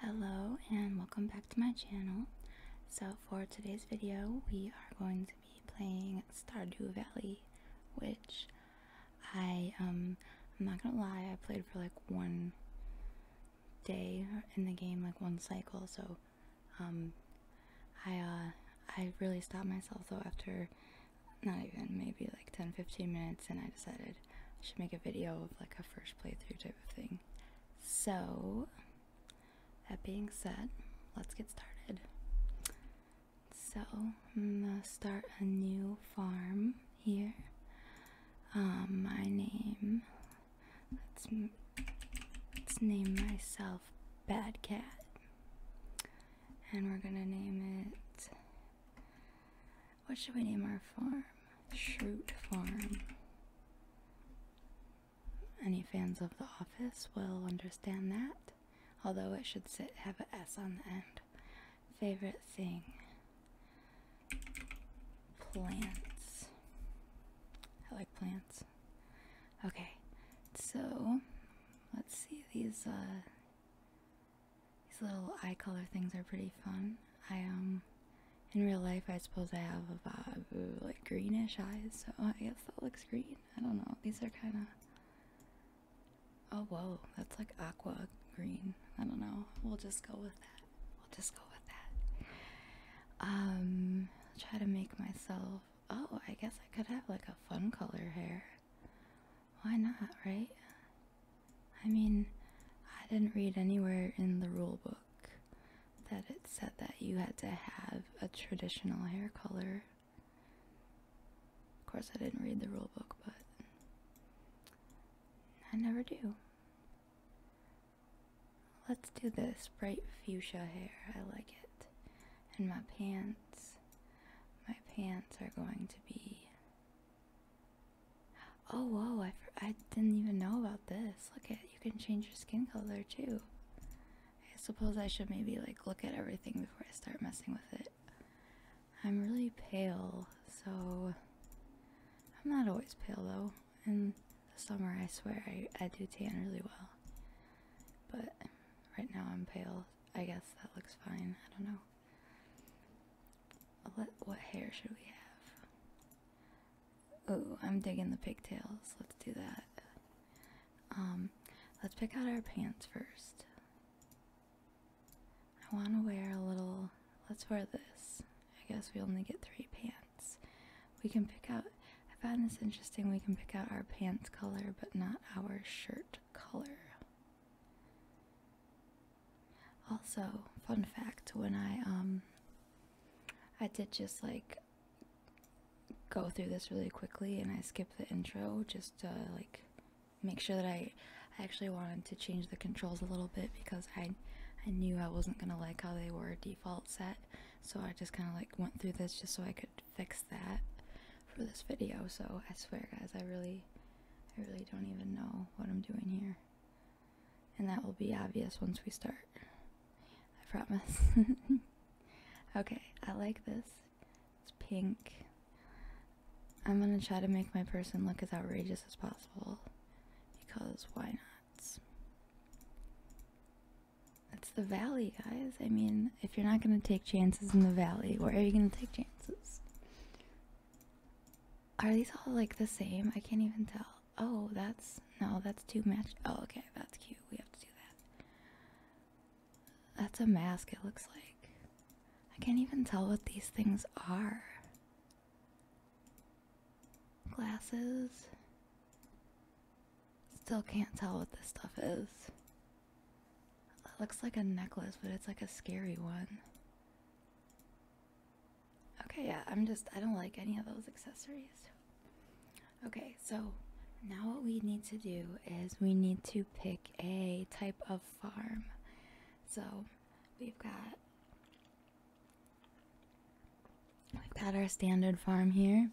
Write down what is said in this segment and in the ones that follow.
Hello and welcome back to my channel. So for today's video we are going to be playing Stardew Valley which I um I'm not gonna lie I played for like one day in the game like one cycle so um I uh I really stopped myself though after not even maybe like 10-15 minutes and I decided should make a video of like a first playthrough type of thing. So, that being said, let's get started. So, I'm gonna start a new farm here. Um, my name, let's, let's name myself Bad Cat. And we're gonna name it what should we name our farm? Shroot Farm. Any fans of The Office will understand that, although it should have an S on the end. Favorite thing plants. I like plants. Okay, so let's see these uh, these little eye color things are pretty fun. I um in real life I suppose I have a uh, like greenish eyes, so I guess that looks green. I don't know. These are kind of Oh whoa, that's like aqua green. I don't know. We'll just go with that. We'll just go with that. Um try to make myself Oh, I guess I could have like a fun color hair. Why not, right? I mean, I didn't read anywhere in the rule book that it said that you had to have a traditional hair color. Of course, I didn't read the rule book, but I never do. Let's do this bright fuchsia hair. I like it. And my pants. My pants are going to be Oh whoa! I I didn't even know about this. Look at you can change your skin color too. I suppose I should maybe like look at everything before I start messing with it. I'm really pale, so I'm not always pale though. In the summer, I swear I I do tan really well, but right now I'm pale. I guess that looks fine. I don't know. What, hair should we have? Oh, I'm digging the pigtails. Let's do that. Um, let's pick out our pants first. I want to wear a little. Let's wear this. I guess we only get three pants. We can pick out. I found this interesting. We can pick out our pants color, but not our shirt color. Also, fun fact: when I um, I did just like go through this really quickly, and I skipped the intro just to like make sure that I, I actually wanted to change the controls a little bit because I, I knew I wasn't gonna like how they were default set, so I just kind of like went through this just so I could fix that for this video. So I swear, guys, I really, I really don't even know what I'm doing here and that will be obvious once we start. I promise. okay, I like this. It's pink. I'm gonna try to make my person look as outrageous as possible because why not? It's the valley, guys. I mean, if you're not gonna take chances in the valley, where are you gonna take chances? Are these all like the same? I can't even tell. Oh, that's no, that's too matched. Oh, okay, that's cute. We have to do that. That's a mask, it looks like. I can't even tell what these things are. Glasses. Still can't tell what this stuff is. It looks like a necklace, but it's like a scary one. Okay, yeah, I'm just, I don't like any of those accessories. Okay, so now what we need to do is we need to pick a type of farm. So we've got, we've got our standard farm here.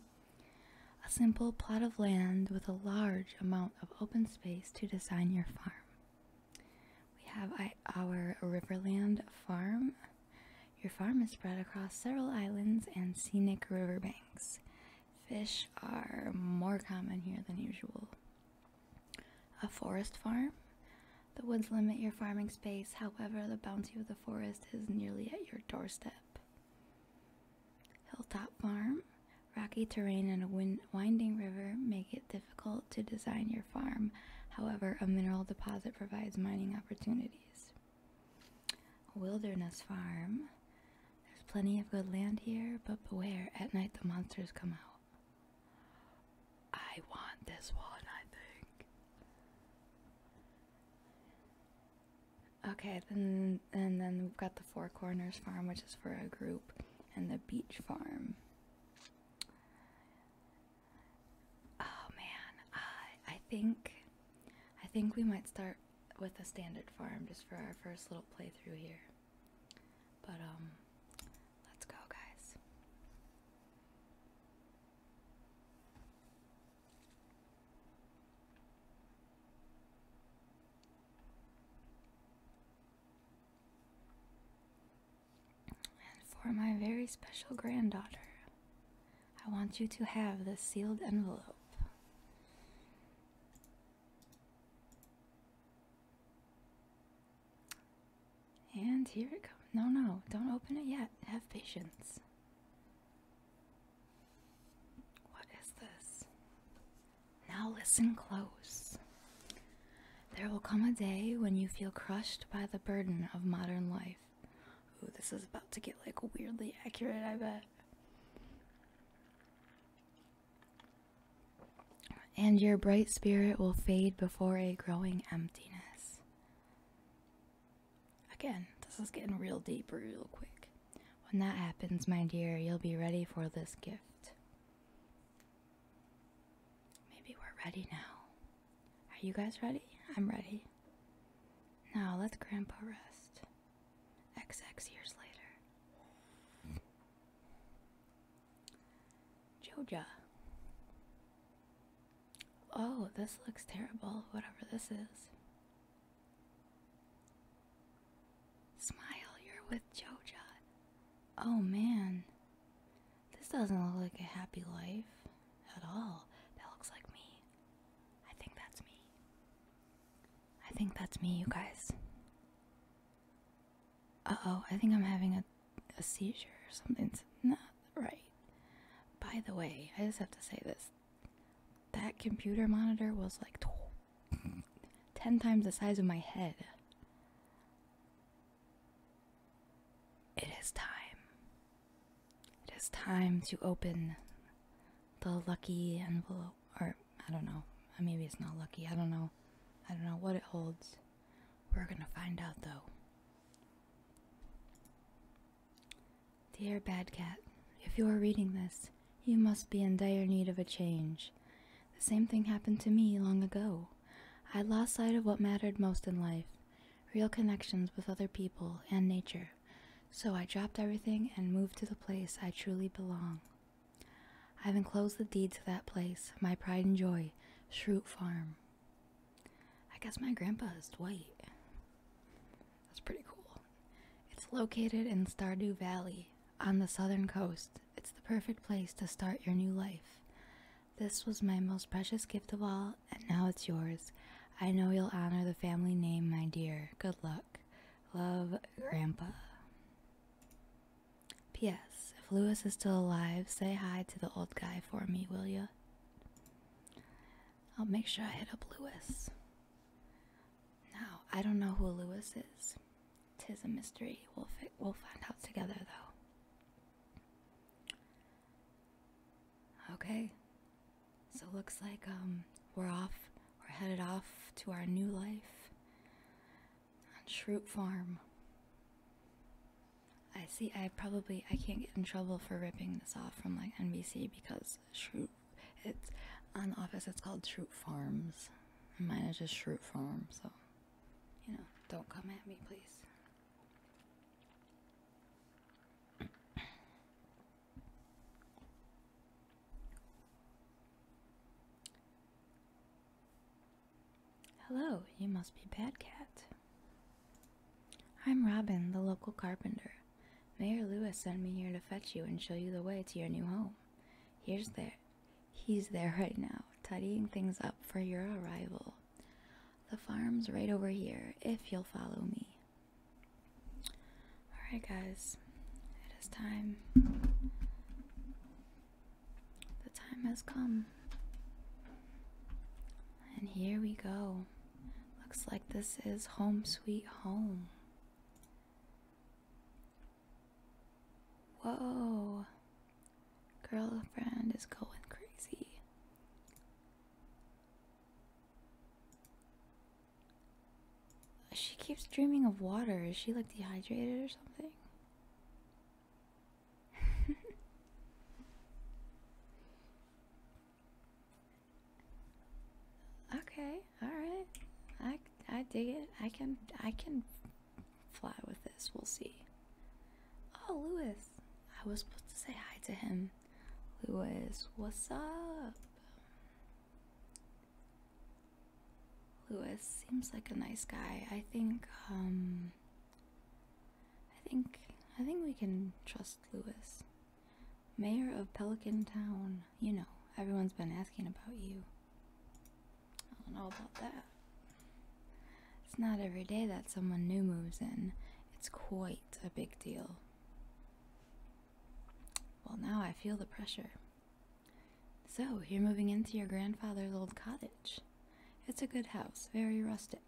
A simple plot of land with a large amount of open space to design your farm. We have our Riverland farm. Your farm is spread across several islands and scenic riverbanks. Fish are more common here than usual. A forest farm. The woods limit your farming space, however, the bounty of the forest is nearly at your doorstep. Hilltop farm. Rocky terrain and a winding river make it difficult to design your farm. However, a mineral deposit provides mining opportunities. wilderness farm. There's plenty of good land here, but beware, at night the monsters come out. I want this one, I think. Okay, then and then we've got the Four Corners farm, which is for a group, and the beach farm. Oh man, uh, I think I think we might start with a standard farm just for our first little playthrough here. But um let's go guys. And for my very special granddaughter, I want you to have this sealed envelope. And here it comes. No, no, don't open it yet. Have patience. What is this? Now listen close. There will come a day when you feel crushed by the burden of modern life. Ooh, this is about to get like weirdly accurate, I bet. And your bright spirit will fade before a growing emptiness. Again, this is getting real deep real quick. When that happens, my dear, you'll be ready for this gift. Maybe we're ready now. Are you guys ready? I'm ready. Now let Grandpa rest. XX years later. Jojo. Oh, this looks terrible, whatever this is. Smile, you're with Jojo. Oh man. This doesn't look like a happy life at all. That looks like me. I think that's me. I think that's me, you guys. Uh oh, I think I'm having a, a seizure or something's not right. By the way, I just have to say this. That computer monitor was like 10 times the size of my head. It is time. It is time to open the lucky envelope. Or, I don't know. Maybe it's not lucky. I don't know. I don't know what it holds. We're gonna find out though. Dear Bad Cat, if you are reading this, you must be in dire need of a change. The same thing happened to me long ago. I lost sight of what mattered most in life real connections with other people and nature, so I dropped everything and moved to the place I truly belong. I've enclosed the deed to that place, my pride and joy, Shroot Farm. I guess my grandpa is Dwight. That's pretty cool. It's located in Stardew Valley on the southern coast. It's the perfect place to start your new life. This was my most precious gift of all, and now it's yours. I know you'll honor the family name, my dear. Good luck. Love, Grandpa. P.S. If Lewis is still alive, say hi to the old guy for me, will you? I'll make sure I hit up Lewis. Now, I don't know who Lewis is. Tis a mystery. We'll, we'll find out together, though. Okay. So looks like um we're off. We're headed off to our new life on Shroot Farm. I see I probably I can't get in trouble for ripping this off from like NBC because Shroot it's on the office it's called Shroot Farms. And mine is just Shroot Farm, so you know, don't come at me please. Hello, you must be Bad Cat. I'm Robin, the local carpenter. Mayor Lewis sent me here to fetch you and show you the way to your new home. Here's there. He's there right now, tidying things up for your arrival. The farm's right over here if you'll follow me. Alright, guys, it is time. The time has come. And here we go. Looks like this is home sweet home. Whoa. Girlfriend is going crazy. She keeps dreaming of water. Is she like dehydrated or something? okay, all right. I I dig it. I can I can fly with this. We'll see. Oh, Louis! I was supposed to say hi to him. Louis, what's up? Louis seems like a nice guy. I think um I think I think we can trust Louis, Mayor of Pelican Town. You know, everyone's been asking about you. I don't know about that. It's not every day that someone new moves in, it's quite a big deal. Well, now I feel the pressure. So, you're moving into your grandfather's old cottage. It's a good house, very rustic.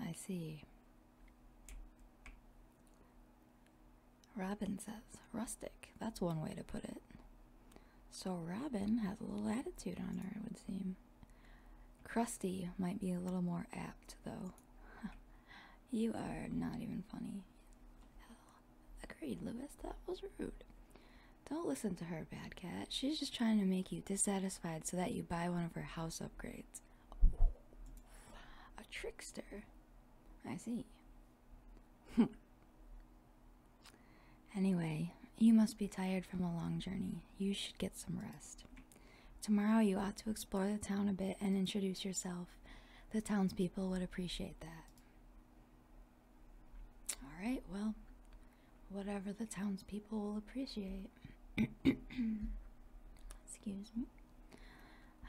I see. Robin says, rustic, that's one way to put it. So Robin has a little attitude on her, it would seem. Krusty might be a little more apt, though. you are not even funny. Agreed, Lewis, that was rude. Don't listen to her, bad cat. She's just trying to make you dissatisfied so that you buy one of her house upgrades. a trickster. I see. Anyway, you must be tired from a long journey. You should get some rest. Tomorrow you ought to explore the town a bit and introduce yourself. The townspeople would appreciate that. Alright, well, whatever the townspeople will appreciate. Excuse me.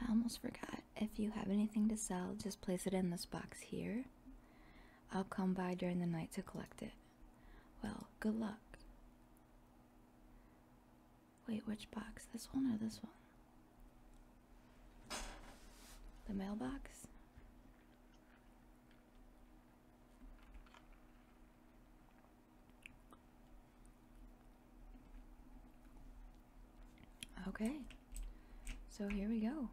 I almost forgot. If you have anything to sell, just place it in this box here. I'll come by during the night to collect it. Well, good luck. Wait, which box? This one or this one? The mailbox? Okay, so here we go.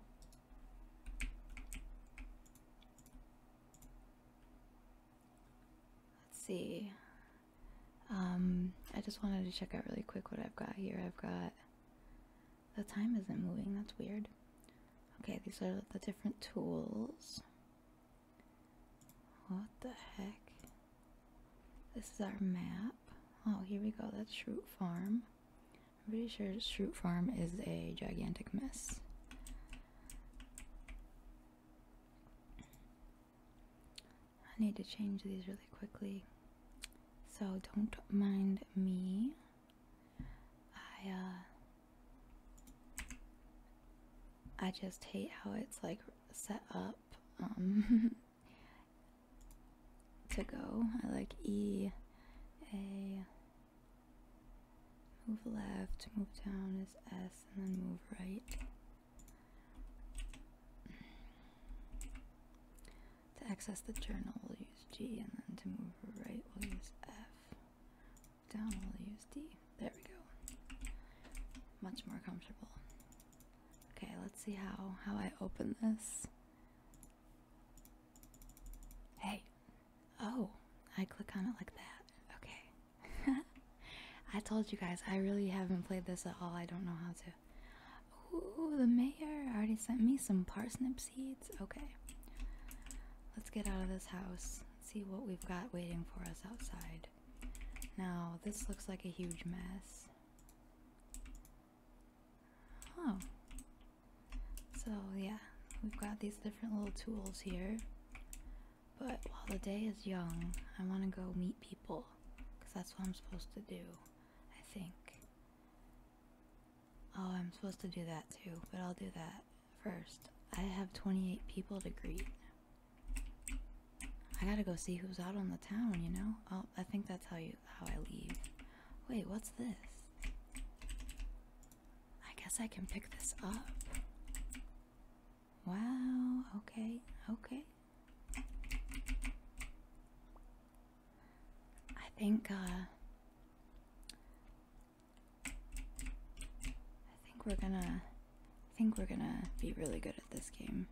Let's see. Um, I just wanted to check out really quick what I've got here. I've got the time isn't moving. That's weird. Okay, these are the different tools. What the heck? This is our map. Oh, here we go. That's Shroot Farm. I'm pretty sure Shroot Farm is a gigantic mess. I need to change these really quickly. So don't mind me. I uh I just hate how it's like set up um to go. I like E A Move left, move down is S, and then move right. To access the journal, we'll use G, and then to move right, we'll use F. Down, we'll use D. There we go. Much more comfortable. Okay, let's see how, how I open this. Hey, Oh, I click on it like that. Okay. I told you guys, I really haven't played this at all. I don't know how to. Ooh, the mayor already sent me some parsnip seeds. Okay. Let's get out of this house. See what we've got waiting for us outside. Now, this looks like a huge mess. Oh, so yeah, we've got these different little tools here. But while the day is young, I want to go meet people. Because that's what I'm supposed to do, I think. Oh, I'm supposed to do that too, but I'll do that first. I have 28 people to greet. I gotta go see who's out on the town, you know? Oh, I think that's how you how I leave. Wait, what's this? I guess I can pick this up. Wow, okay, okay. I think, uh, I think we're gonna, I think we're gonna be really good at this game.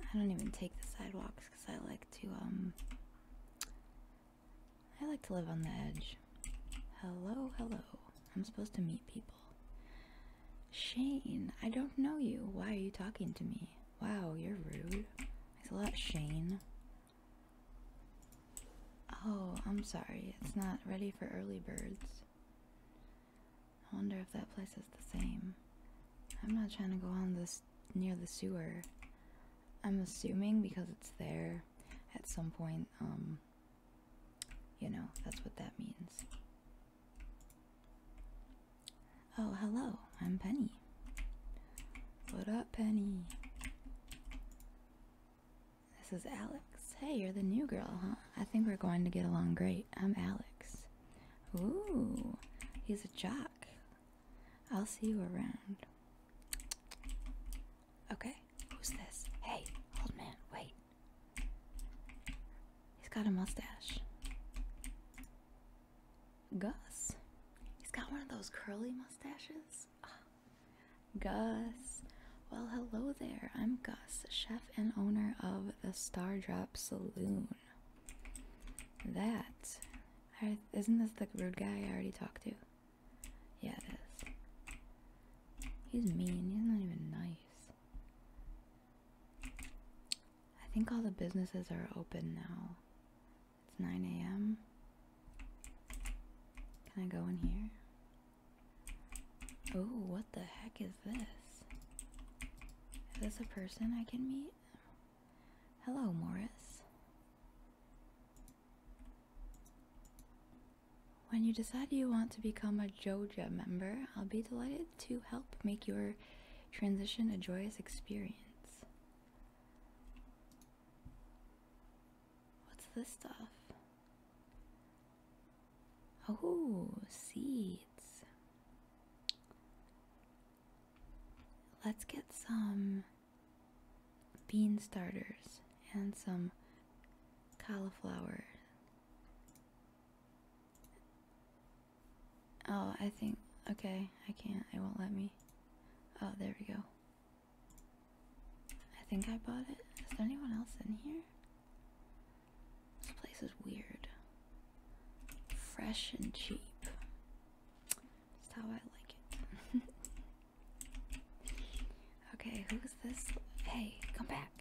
I don't even take the sidewalks because I like to, um, I like to live on the edge. Hello, hello. I'm supposed to meet people. Shane, I don't know you. Why are you talking to me? Wow, you're rude. It's a lot, Shane. Oh, I'm sorry. It's not ready for early birds. I wonder if that place is the same. I'm not trying to go on this near the sewer. I'm assuming because it's there at some point, um, you know, that's what that means. Oh, hello, I'm Penny. What up, Penny? This is Alex. Hey, you're the new girl, huh? I think we're going to get along great. I'm Alex. Ooh, he's a jock. I'll see you around. Okay, who's this? Hey, old man, wait. He's got a mustache. Gus. He's got one of those curly mustaches. Ah, Gus. Well, hello there. I'm Gus, chef and owner of the Star Drop Saloon. That isn't this the rude guy I already talked to? Yeah, it is. He's mean. He's not even nice. I think all the businesses are open now. It's 9 a.m. Can I go in here? Oh, what the heck is this? Is this a person I can meet? Hello, Morris. When you decide you want to become a Joja member, I'll be delighted to help make your transition a joyous experience. What's this stuff? Oh, seeds. Let's get some bean starters and some cauliflower. Oh, I think, okay, I can't, it won't let me. Oh, there we go. I think I bought it. Is there anyone else in here? This place is weird. Fresh and cheap. That's how I like it. okay, who's this? Hey, come back.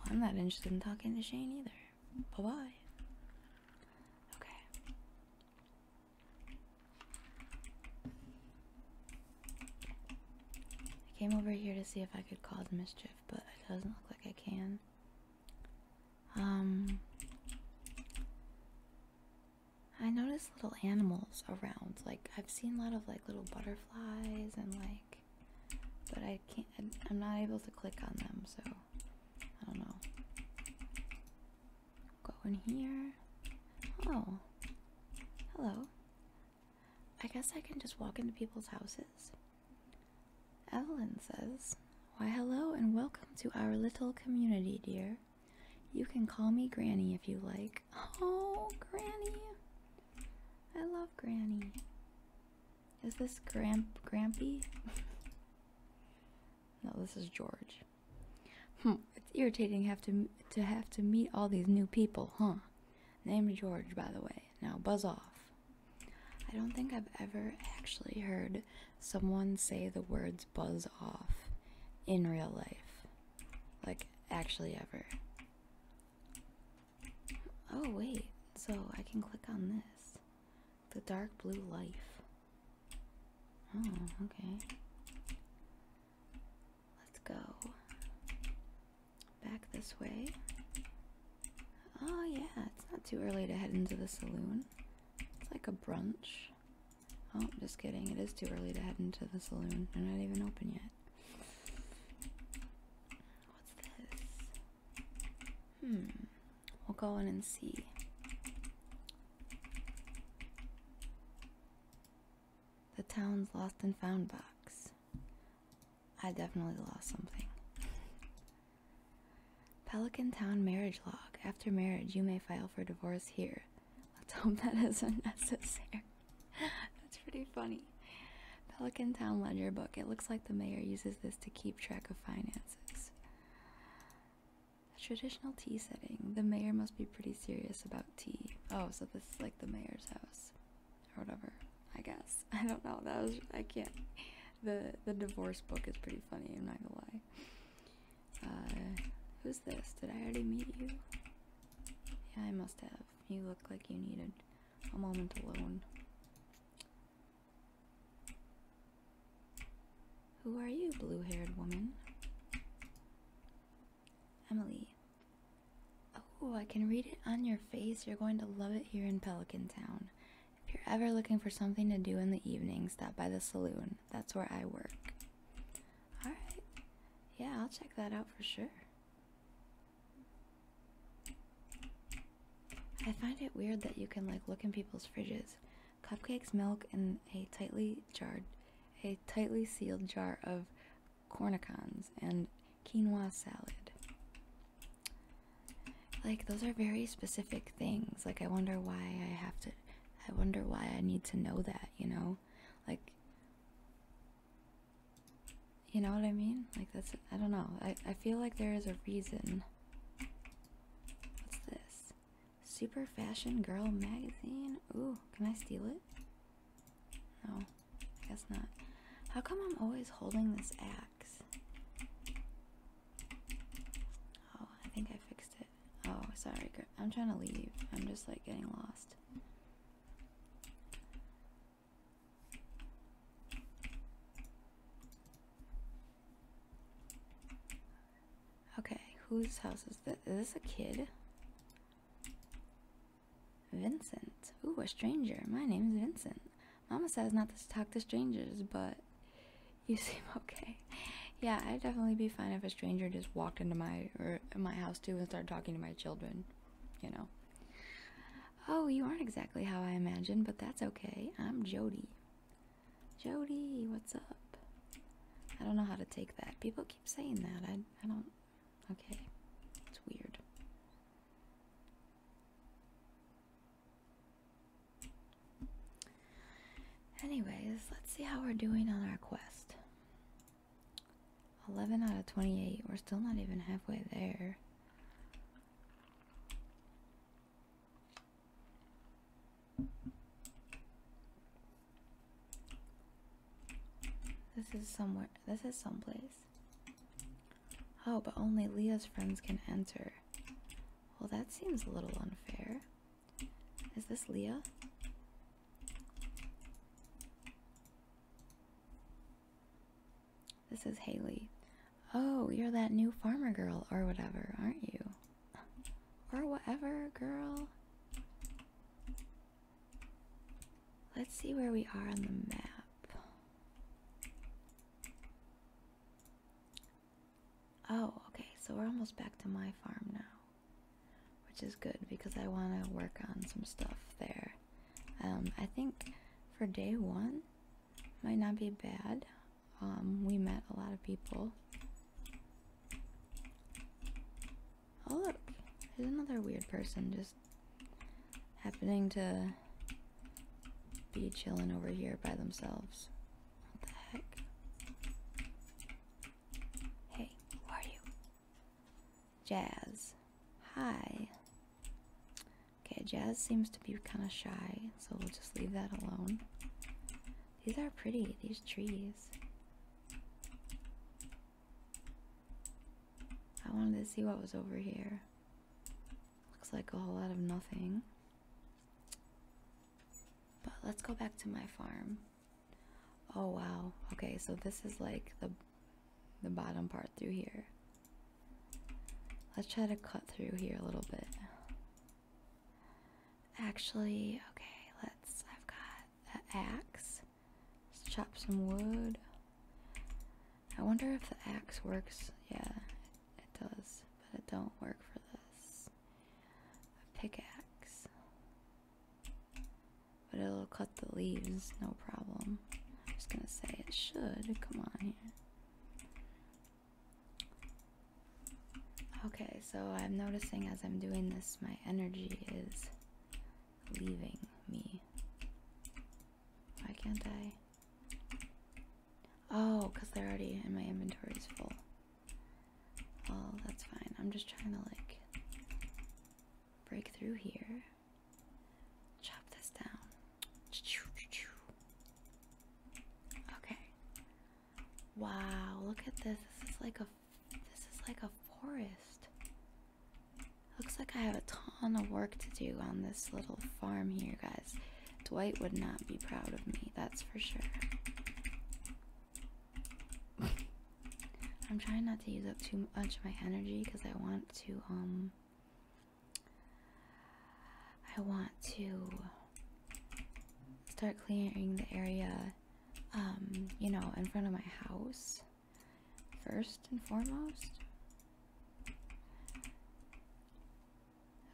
I'm not interested in talking to Shane either. Bye bye. Okay. I came over here to see if I could cause mischief, but it doesn't look like I can. Um, I noticed little animals around. Like I've seen a lot of like little butterflies and like, but I can't. I'm not able to click on them, so I don't know. Go in here. Oh, hello. I guess I can just walk into people's houses. Evelyn says, Why, hello and welcome to our little community, dear. You can call me Granny if you like. Oh, Granny! I love Granny. Is this Gramp Grampy? no, this is George. Hmm, it's irritating to have to meet all these new people, huh? Name George, by the way. Now buzz off. I don't think I've ever actually heard someone say the words buzz off in real life. Like, actually, ever. Oh, wait, so I can click on this. The dark blue life. Oh, okay. Let's go back this way. Oh, yeah, it's not too early to head into the saloon. It's like a brunch. Oh, just kidding. It is too early to head into the saloon. They're not even open yet. What's this? Hmm. We'll go in and see. The town's lost and found box. I definitely lost something. Pelican Town marriage log. After marriage, you may file for divorce here. Let's hope that isn't necessary. That's pretty funny. Pelican Town ledger book. It looks like the mayor uses this to keep track of finances. A traditional tea setting. The mayor must be pretty serious about tea. Oh, so this is like the mayor's house. Or whatever, I guess. I don't know. That was, I can't the the divorce book is pretty funny. I'm not gonna lie. Uh, who's this? Did I already meet you? I must have. You look like you needed a moment alone. Who are you, blue-haired woman? Emily. Oh, I can read it on your face. You're going to love it here in Pelican Town. If you're ever looking for something to do in the evening, stop by the saloon. That's where I work. Alright. Yeah, I'll check that out for sure. I find it weird that you can like look in people's fridges. Cupcakes, milk, and a tightly jarred, a tightly sealed jar of cornicons and quinoa salad. Like those are very specific things. Like I wonder why I have to I wonder why I need to know that, you know? Like you know what I mean? Like that's I don't know. I I feel like there is a reason. What's this? Super Fashion Girl magazine. Ooh, can I steal it? No. I guess not. How come I'm always holding this app? Oh, I think I fixed it. Oh, sorry. I'm trying to leave. I'm just like getting lost. Okay, whose house is this? Is this a kid? Vincent. Ooh, a stranger. My name is Vincent. Mama says not to talk to strangers, but you seem okay. Yeah, I'd definitely be fine if a stranger just walked into my or my house too and started talking to my children, you know. Oh, you aren't exactly how I imagined, but that's okay. I'm Jody. Jody, what's up? I don't know how to take that. People keep saying that. I I don't okay. It's weird. Anyways, let's see how we're doing on our quest. 11 out of 28. We're still not even halfway there. This is somewhere. This is someplace. Oh, but only Leah's friends can enter. Well, that seems a little unfair. Is this Leah? This is Haley. Oh, you're that new farmer girl or whatever, aren't you? Or whatever, girl. Let's see where we are on the map. Oh, okay, so we're almost back to my farm now. Which is good because I want to work on some stuff there. Um, I think for day one, might not be bad. Um, we met a lot of people. Oh look, there's another weird person just happening to be chilling over here by themselves. What the heck? Hey, who are you? Jazz. Hi. Okay, Jazz seems to be kind of shy, so we'll just leave that alone. These are pretty, these trees. I wanted to see what was over here. Looks like a whole lot of nothing. But let's go back to my farm. Oh wow. Okay, so this is like the the bottom part through here. Let's try to cut through here a little bit. Actually, okay, let's I've got an axe. Let's chop some wood. I wonder if the axe works. Yeah, it does, but it don't work for this a pickaxe. But it'll cut the leaves, no problem. I'm just gonna say it should. Come on here. Okay, so I'm noticing as I'm doing this, my energy is leaving me. Why can't I? Oh, because they're already in my inventory's full. Well, that's fine. I'm just trying to like break through here. Chop this down. Okay. Wow, look at this. This is like a this is like a forest. Looks like I have a ton of work to do on this little farm here, guys. Dwight would not be proud of me, that's for sure. I'm trying not to use up too much of my energy because I want to, um, I want to start clearing the area, um, you know, in front of my house first and foremost.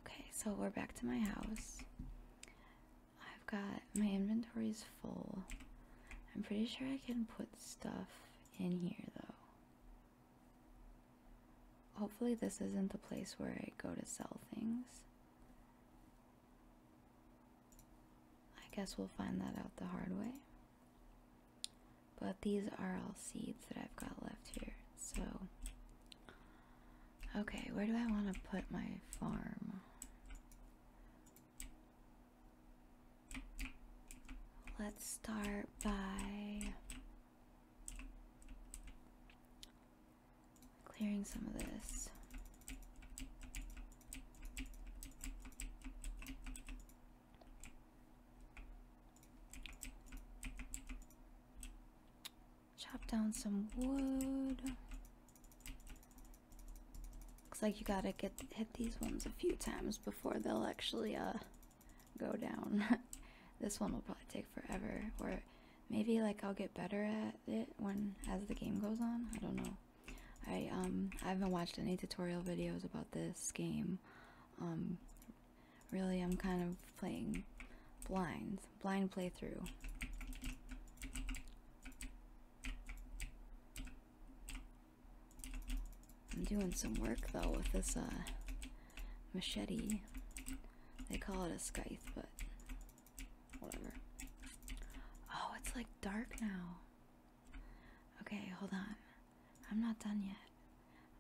Okay, so we're back to my house. I've got my inventory is full. I'm pretty sure I can put stuff in here though. Hopefully, this isn't the place where I go to sell things. I guess we'll find that out the hard way. But these are all seeds that I've got left here, so Okay, where do I want to put my farm? Let's start by clearing some of this. Chop down some wood. Looks like you gotta get hit these ones a few times before they'll actually uh go down. this one will probably take forever, or maybe like I'll get better at it when as the game goes on. I don't know. I um I haven't watched any tutorial videos about this game. Um, really, I'm kind of playing blind, blind playthrough. I'm doing some work though with this uh machete. They call it a scythe, but whatever. Oh, it's like dark now. Okay, hold on. I'm not done yet.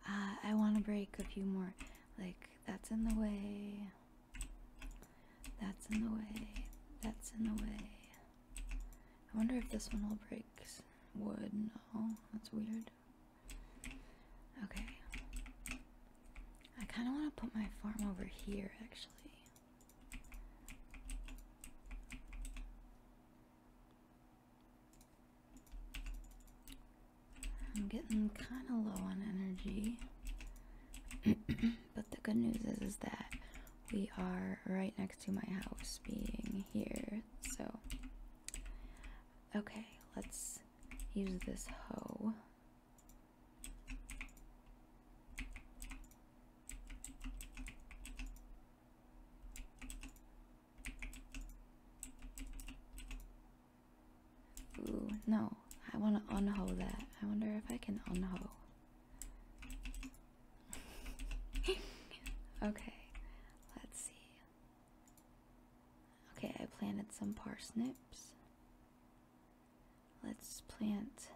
Uh, I want to break a few more. Like, that's in the way. That's in the way. That's in the way. I wonder if this one will break wood. No, that's weird. Okay. I kind of want to put my farm over here, actually. I'm getting kind of low on energy. but the good news is, is that we are right next to my house being here. So, okay, let's use this hoe. Ooh, no. I want to unho that. I wonder if I can unho. okay, let's see. Okay, I planted some parsnips. Let's plant.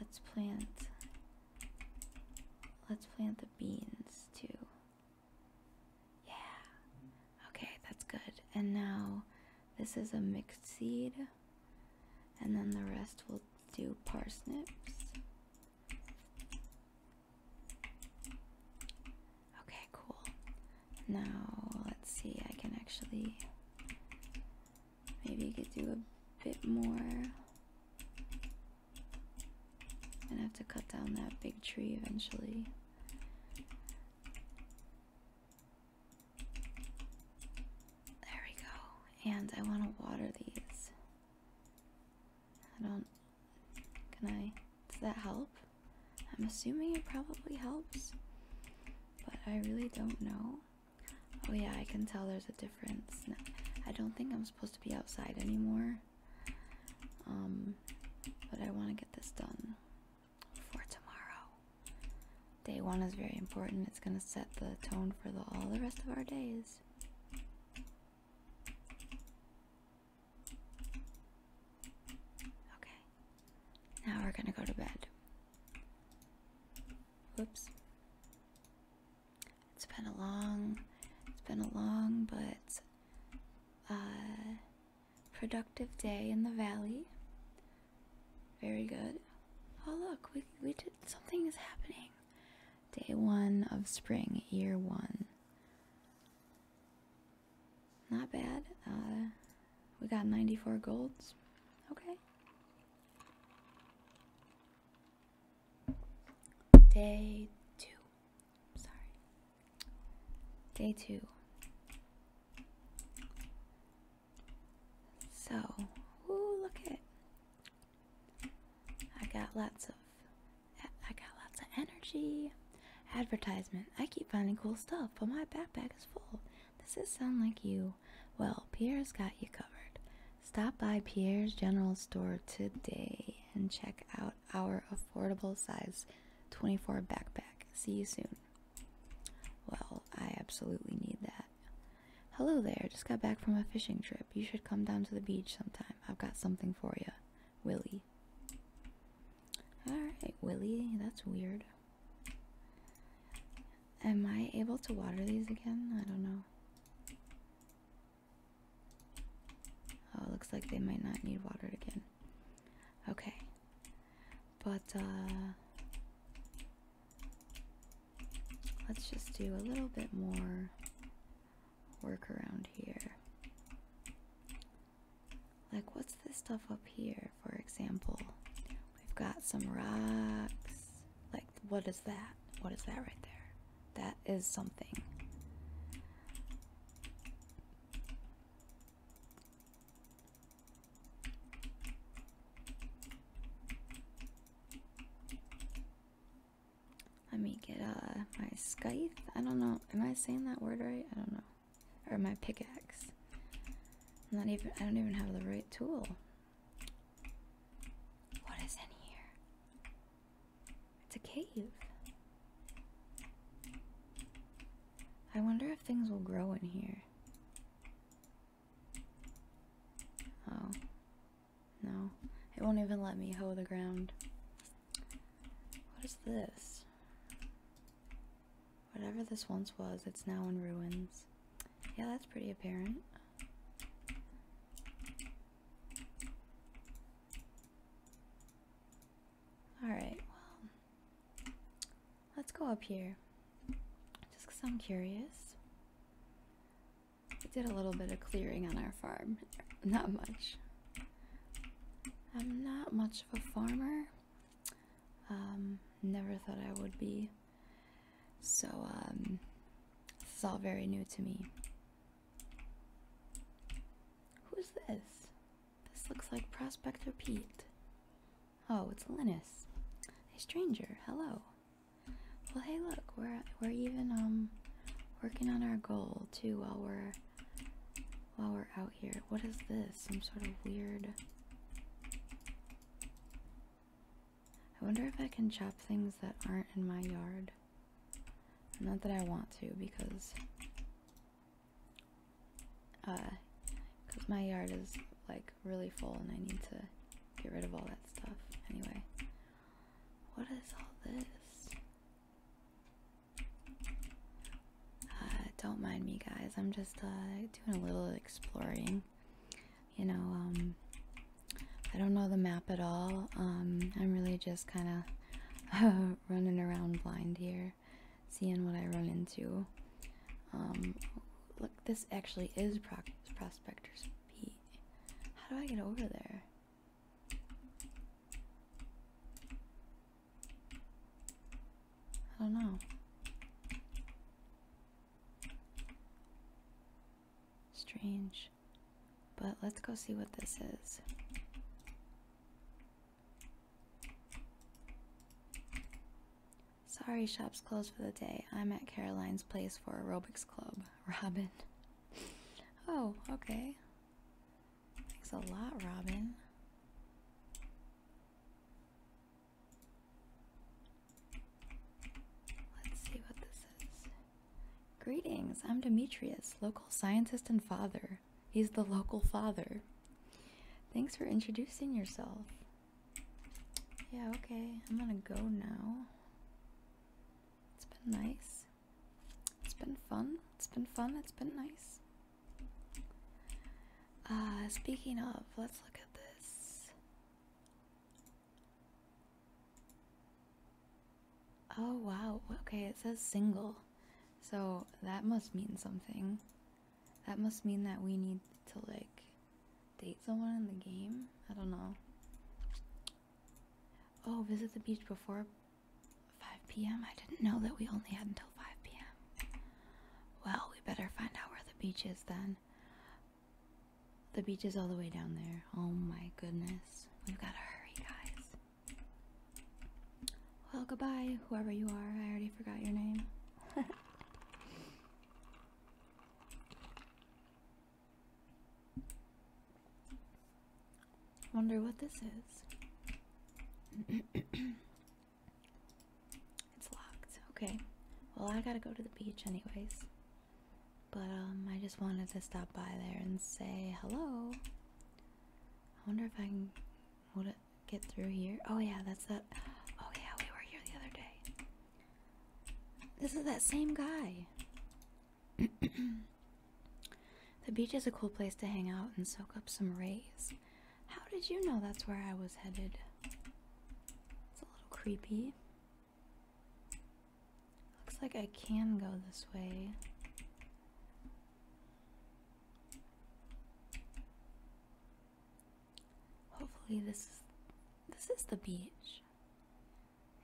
Let's plant. Let's plant the beans too. Yeah. Okay, that's good. And now this is a mixed seed. And then the rest will do parsnips. Okay, cool. Now, let's see, I can actually maybe could do a bit more. i gonna have to cut down that big tree eventually. There we go. And I want to water these. I don't. Can I? Does that help? I'm assuming it probably helps. But I really don't know. Oh, yeah, I can tell there's a difference. I don't think I'm supposed to be outside anymore. Um, but I want to get this done for tomorrow. Day one is very important. It's going to set the tone for all the rest of our days. Okay. Now we're going to go to bed. Whoops. It's been a long, it's been a long, but uh, Productive day in the valley. Very good. Oh look, we we did something is happening. Day one of spring, year one. Not bad. Uh, we got 94 golds. Okay. Day two. Sorry. Day two. So, ooh, look it. I got lots of, I got lots of energy. Advertisement. I keep finding cool stuff, but my backpack is full. Does this sound like you? Well, Pierre's got you covered. Stop by Pierre's General Store today and check out our affordable size 24 backpack. See you soon. Well, I absolutely need that. Hello there, just got back from a fishing trip. You should come down to the beach sometime. I've got something for you. Willie. Alright, Willie, that's weird. Am I able to water these again? I don't know. Oh, looks like they might not need watered again. Okay. But uh let's just do a little bit more work around here. Like what's this stuff up here, for example? We've got some rocks. Like what is that? What is that right there? That is something. Let me get uh my scythe. I don't know. Am I saying that word right? I don't know. Or my pickaxe. not even. I don't even have the right tool. What is in here? It's a cave. I wonder if things will grow in here. Oh. No. It won't even let me hoe the ground. What is this? Whatever this once was, it's now in ruins. Yeah, that's pretty apparent. Alright, well, let's go up here. Just because I'm curious. We did a little bit of clearing on our farm. Not much. I'm not much of a farmer. Um, never thought I would be. So, um, this is all very new to me. Who's this? This looks like Prospector Pete. Oh, it's Linus. Hey, stranger. Hello. Well, hey, look. We're we're even um working on our goal too while we're while we're out here. What is this? Some sort of weird. I wonder if I can chop things that aren't in my yard. Not that I want to, because uh because my yard is like really full and I need to get rid of all that stuff anyway. What is all this? Uh, don't mind me, guys. I'm just uh, doing a little exploring. You know, um, I don't know the map at all. Um, I'm really just kind of running around blind here seeing what I run into. Um, look, this actually is Prospector's Peak. How do I get over there? I don't know. Strange. But let's go see what this is. Sorry, shop's closed for the day. I'm at Caroline's place for aerobics club. Robin. Oh, okay. Thanks a lot, Robin. Let's see what this is. Greetings, I'm Demetrius, local scientist and father. He's the local father. Thanks for introducing yourself. Yeah, okay. I'm gonna go now. It's been nice. It's been fun. It's been fun. It's been nice. Uh, speaking of, let's look at this. Oh, wow. Okay, it says single. So that must mean something. That must mean that we need to like date someone in the game. I don't know. Oh, visit the beach before 5 p.m. I didn't know that we only had until 5 p.m. Well, we better find out where the beach is then. The beach is all the way down there. Oh my goodness. We've got to hurry, guys. Well, goodbye, whoever you are. I already forgot your name. Wonder what this is. it's locked. Okay. Well, I gotta go to the beach, anyways. But, um, I just wanted to stop by there and say hello. I wonder if I can. What, get through here. Oh yeah, that's that. Oh yeah, we were here the other day. This is that same guy. the beach is a cool place to hang out and soak up some rays. How did you know that's where I was headed? It's a little creepy. Looks like I can go this way. Hopefully this is this is the beach.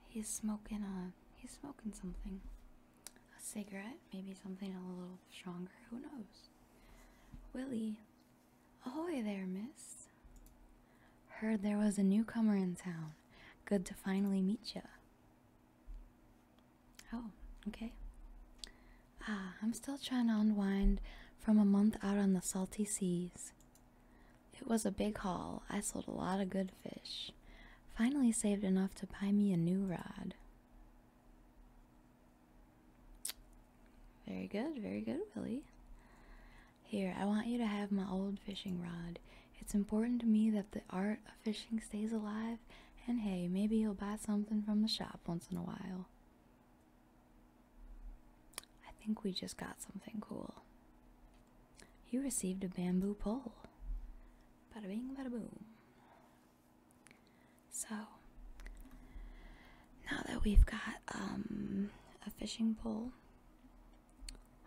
He's smoking a uh, he's smoking something. A cigarette, maybe something a little stronger, who knows? Willie, ahoy there, miss. Heard there was a newcomer in town. Good to finally meet ya. Oh, okay. Ah, I'm still trying to unwind from a month out on the salty seas. It was a big haul. I sold a lot of good fish. Finally saved enough to buy me a new rod. Very good, very good, Willie. Here, I want you to have my old fishing rod. It's important to me that the art of fishing stays alive and hey, maybe you'll buy something from the shop once in a while. I think we just got something cool. You received a bamboo pole. Bada bing, So, now that we've got um, a fishing pole,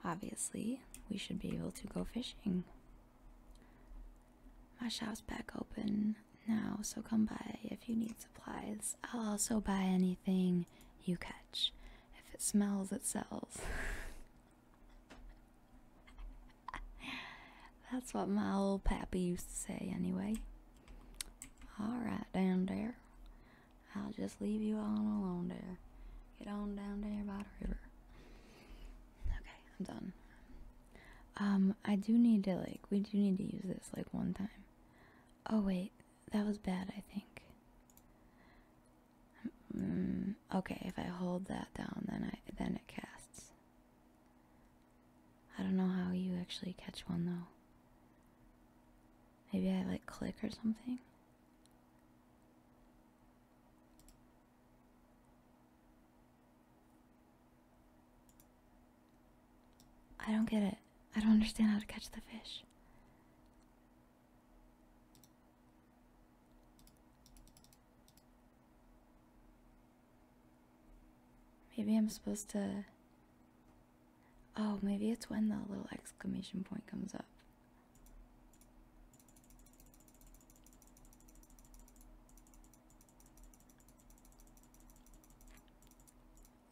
obviously we should be able to go fishing. My shop's back open now, so come by if you need supplies. I'll also buy anything you catch. If it smells, it sells. That's what my old pappy used to say, anyway. Alright, down there. I'll just leave you all alone there. Get on down there by the river. Okay, I'm done. Um, I do need to, like, we do need to use this, like, one time. Oh, wait, that was bad, I think. Mm, okay, if I hold that down, then I, then it casts. I don't know how you actually catch one, though. Maybe I, like, click or something? I don't get it. I don't understand how to catch the fish. Maybe I'm supposed to. Oh, maybe it's when the little exclamation point comes up.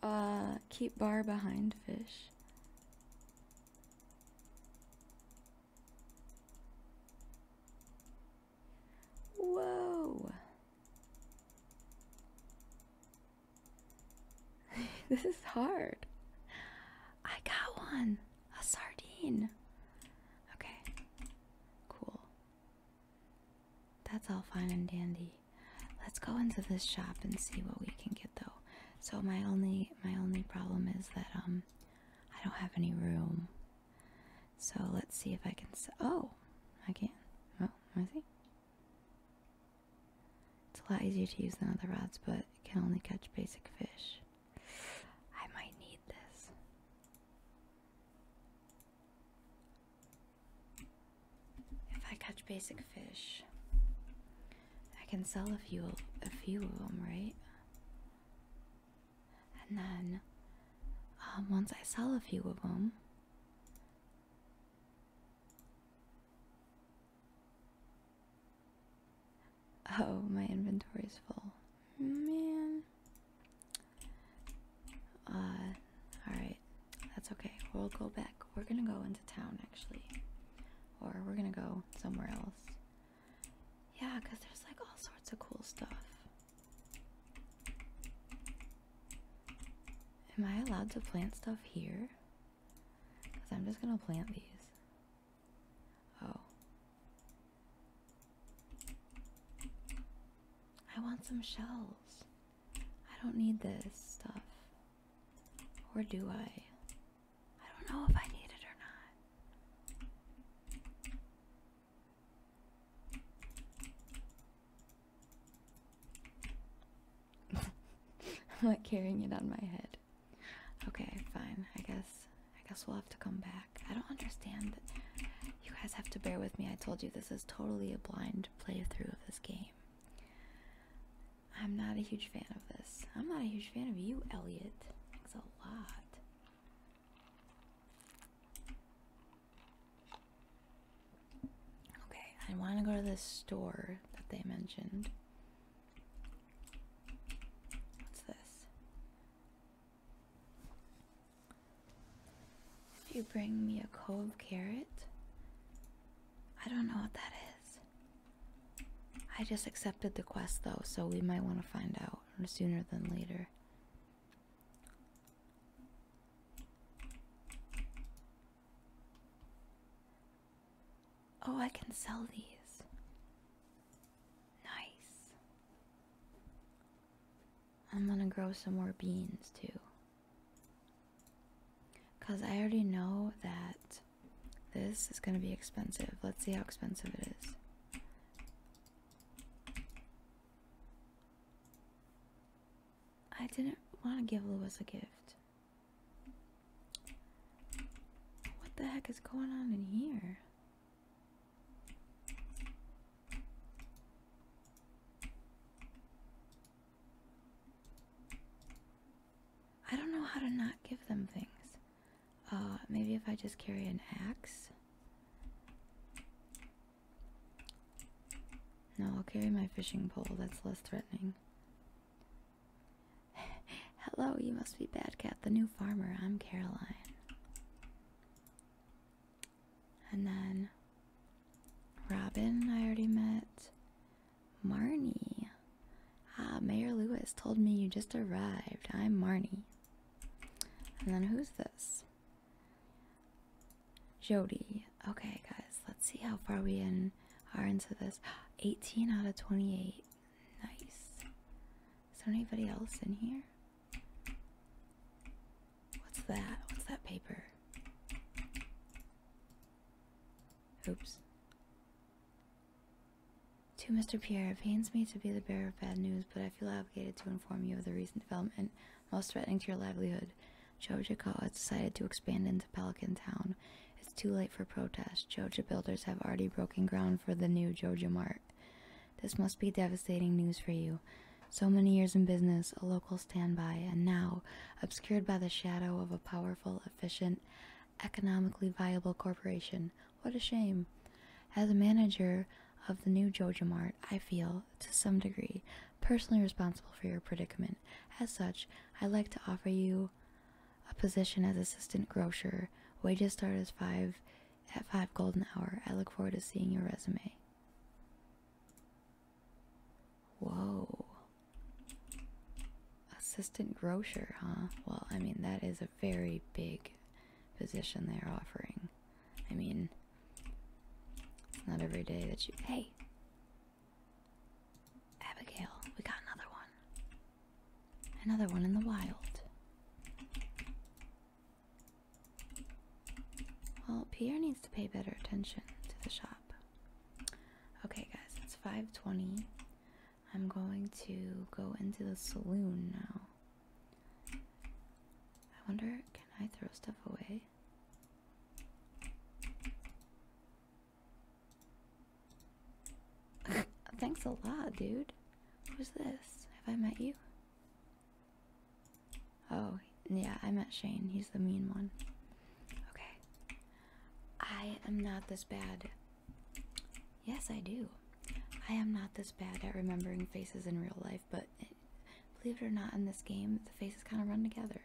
Uh, keep bar behind fish. Whoa. this is hard. I got one. A sardine. Okay. Cool. That's all fine and dandy. Let's go into this shop and see what we can get though. So my only my only problem is that um I don't have any room. So let's see if I can oh I can. Oh, I see. It's a lot easier to use than other rods, but it can only catch basic fish. I might need this. If I catch basic fish, I can sell a few a few of them, right? And then um, once I sell a few of them, oh, my inventory is full man. Uh, alright. That's okay. We'll go back. We're gonna go into town actually. Or we're gonna go somewhere else. Yeah, because there's like all sorts of cool stuff. Am I allowed to plant stuff here? I'm just gonna plant these. Oh. I want some shells. I don't need this stuff. Or do I? I don't know if I need it or not. I'm not carrying it on my head. Okay, fine. I guess I guess we'll have to come back. I don't understand. You guys have to bear with me. I told you this is totally a blind playthrough of this game. I'm not a huge fan of this. I'm not a huge fan of you, Elliot. Thanks a lot. Okay, I want to go to this store that they mentioned. What's this? If you bring me a cove carrot, I don't know what that is. I just accepted the quest though, so we might want to find out sooner than later. Oh, I can sell these. Nice. I'm gonna grow some more beans too. Because I already know that this is gonna be expensive. Let's see how expensive it is. I didn't want to give Lewis a gift. What the heck is going on in here? I don't know how to not give them things. Uh, maybe if I just carry an axe. No, I'll carry my fishing pole. That's less threatening. Hello, you must be Bad Cat, the new farmer. I'm Caroline. And then Robin, I already met. Marnie. Ah, Mayor Lewis told me you just arrived. I'm Marnie. And then who's this? Jody. Okay, guys, let's see how far we in are into this. 18 out of 28. Nice. Is there anybody else in here? What's that? What's that paper? Oops. To Mr. Pierre, it pains me to be the bearer of bad news, but I feel obligated to inform you of the recent development most threatening to your livelihood. Jojo Co. has decided to expand into Pelican Town. It's too late for protest. Jojo builders have already broken ground for the new Jojo Mart. This must be devastating news for you. So many years in business, a local standby, and now, obscured by the shadow of a powerful, efficient, economically viable corporation. What a shame. As a manager of the new Jojo Mart, I feel, to some degree, personally responsible for your predicament. As such, I'd like to offer you a position as assistant grocer. Wages start as five at five golden hour. I look forward to seeing your resume. Whoa. Assistant grocer, huh? Well, I mean, that is a very big position they're offering. I mean, not every day that you. Hey! Abigail, we got another one. Another one in the wild. Well, Pierre needs to pay better attention to the shop. Okay, guys, it's 5:20. I'm going to go into the saloon now. I wonder, can I throw stuff away? Thanks a lot, dude. Who's this? Have I met you? Oh, yeah, I met Shane. He's the mean one. Okay. I am not this bad. Yes, I do. I am not this bad at remembering faces in real life, but believe it or not, in this game, the faces kind of run together.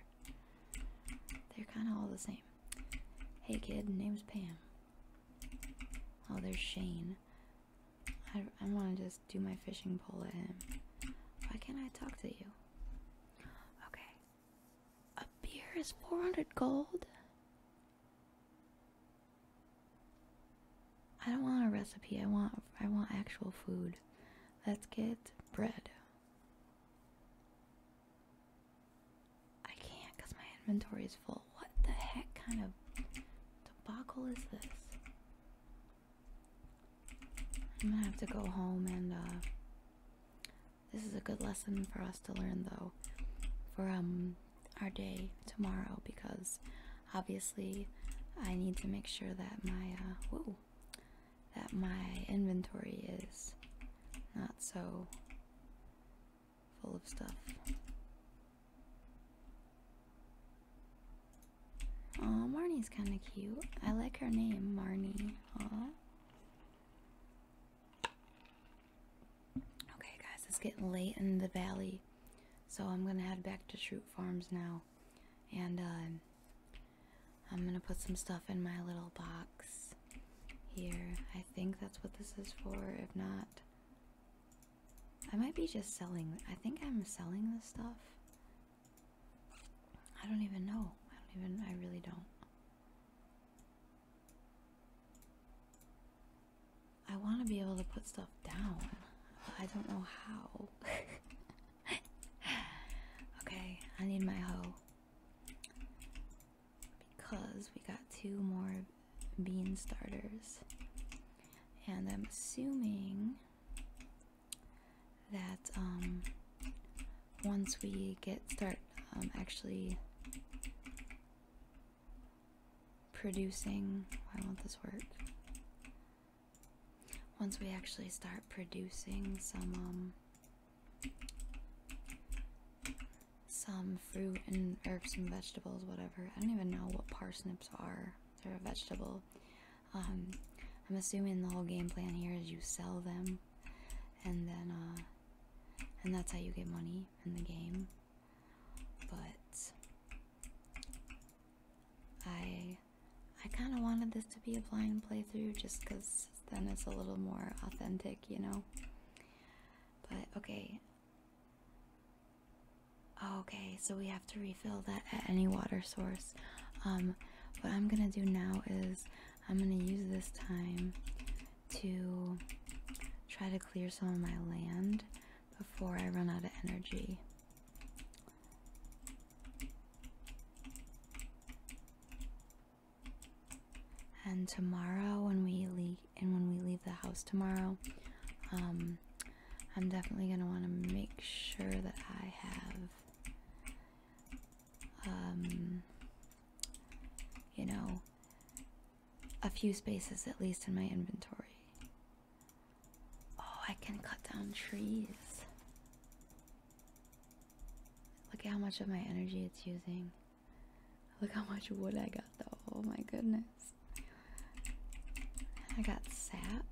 They're kind of all the same. Hey kid, name's Pam. Oh, there's Shane. I, want to just do my fishing pole at him. Why can't I talk to you? Okay. A beer is 400 gold? I don't want a recipe. I want I want actual food. Let's get bread. I can't because my inventory is full. What the heck kind of debacle is this? I'm gonna have to go home and uh, this is a good lesson for us to learn though for um our day tomorrow because obviously I need to make sure that my uh that my inventory is not so full of stuff. Oh, Marnie's kind of cute. I like her name, Marnie. Aww. Okay, guys, it's getting late in the valley, so I'm gonna head back to Shroot Farms now, and um, I'm gonna put some stuff in my little box here. I think that's what this is for. If not, I might be just selling. I think I'm selling this stuff. I don't even know. I don't even, I really don't. I want to be able to put stuff down. I don't know how. okay, I need my hoe. Because we got two more bean starters. And I'm assuming that um, once we get start um, actually producing, why won't this work? Once we actually start producing some um, some fruit and herbs and vegetables, whatever. I don't even know what parsnips are. They're a vegetable. Um, I'm assuming the whole game plan here is you sell them, and then uh, and that's how you get money in the game. But I I kind of wanted this to be a blind playthrough just because then it's a little more authentic, you know. But okay. Okay, so we have to refill that at any water source. Um, what I'm gonna do now is I'm gonna use this time to try to clear some of my land before I run out of energy. And tomorrow, when we leave, and when we leave the house tomorrow, um, I'm definitely gonna want to make sure that I have um, you know, a few spaces at least in my inventory. Oh, I can cut down trees. Look at how much of my energy it's using. Look how much wood I got though. Oh my goodness. I got sap.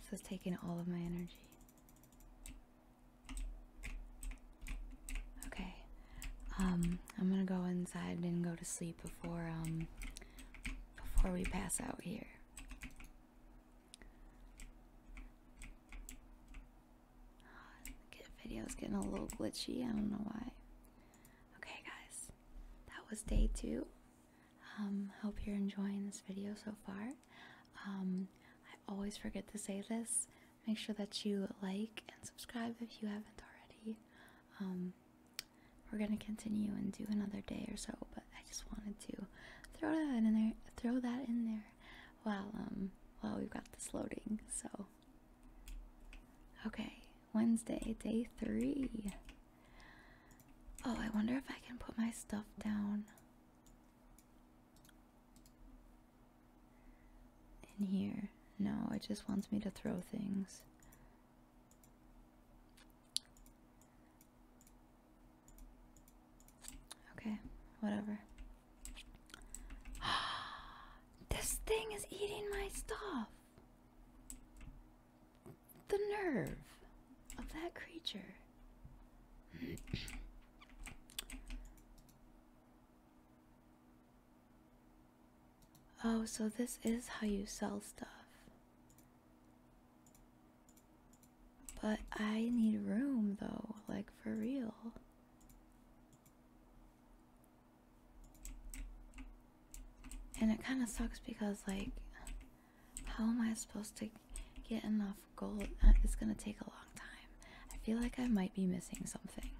This has taking all of my energy. Okay, um, I'm gonna go inside and go to sleep before um before we pass out here. Video is getting a little glitchy. I don't know why. Okay, guys, that was day two. Um, hope you're enjoying this video so far. Um, I always forget to say this. Make sure that you like and subscribe if you haven't already. Um, we're gonna continue and do another day or so, but I just wanted to throw that in there. Throw that in there. While um, while we've got this loading, so Okay, Wednesday, day three. Oh, I wonder if I can put my stuff down in here. No, it just wants me to throw things. Okay, whatever. this thing is eating my stuff. The nerve of that creature. oh, so this is how you sell stuff. But I need room though, like for real. And it kind of sucks because, like, how am I supposed to get enough gold? Uh, it's gonna take a long time. I feel like I might be missing something.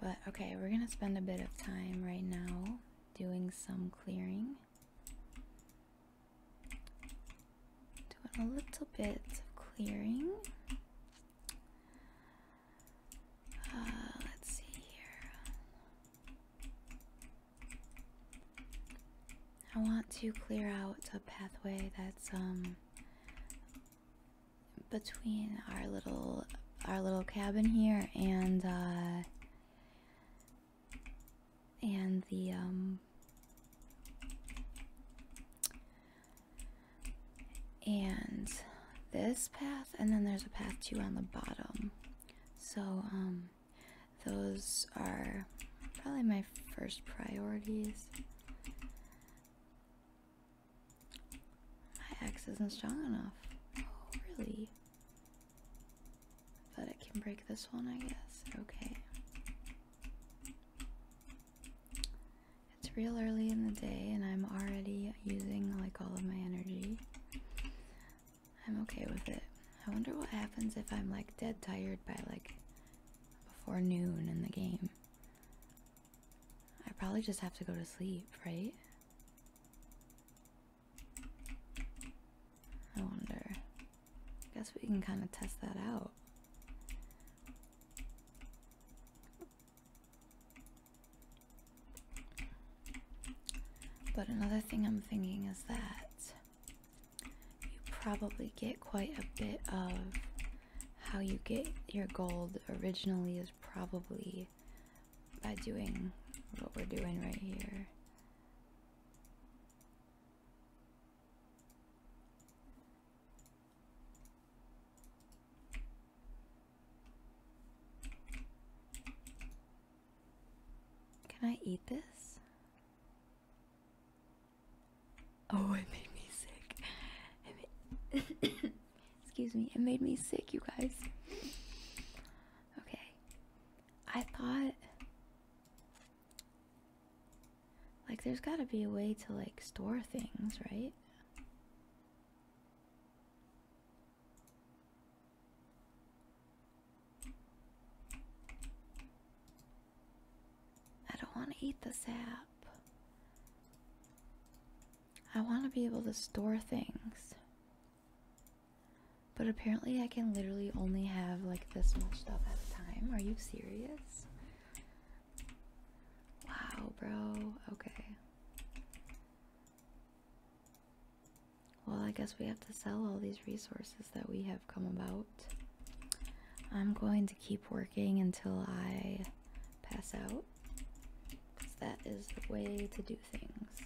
But okay, we're gonna spend a bit of time right now doing some clearing. Doing a little bit of clearing. Uh, let's see here. I want to clear out a pathway that's um between our little our little cabin here and uh, and the um and this path and then there's a path too on the bottom so um, those are probably my first priorities my axe isn't strong enough oh really but it can break this one i guess okay it's real early in the day, and I'm already using like all of my energy. I'm okay with it. I wonder what happens if I'm like dead tired by like before noon in the game. I probably just have to go to sleep, right? I wonder. Guess we can kind of test that out. But another thing I'm thinking is that you probably get quite a bit of how you get your gold originally is probably by doing what we're doing right here. Can I eat this? Oh, it made me sick. Excuse me, it made me sick, you guys. Okay. I thought. Like, there's gotta be a way to, like, store things, right? I don't want to eat the sap. I want to be able to store things. But apparently, I can literally only have like this much stuff at a time. Are you serious? Wow, bro. Okay. Well, I guess we have to sell all these resources that we have come about. I'm going to keep working until I pass out. that is the way to do things.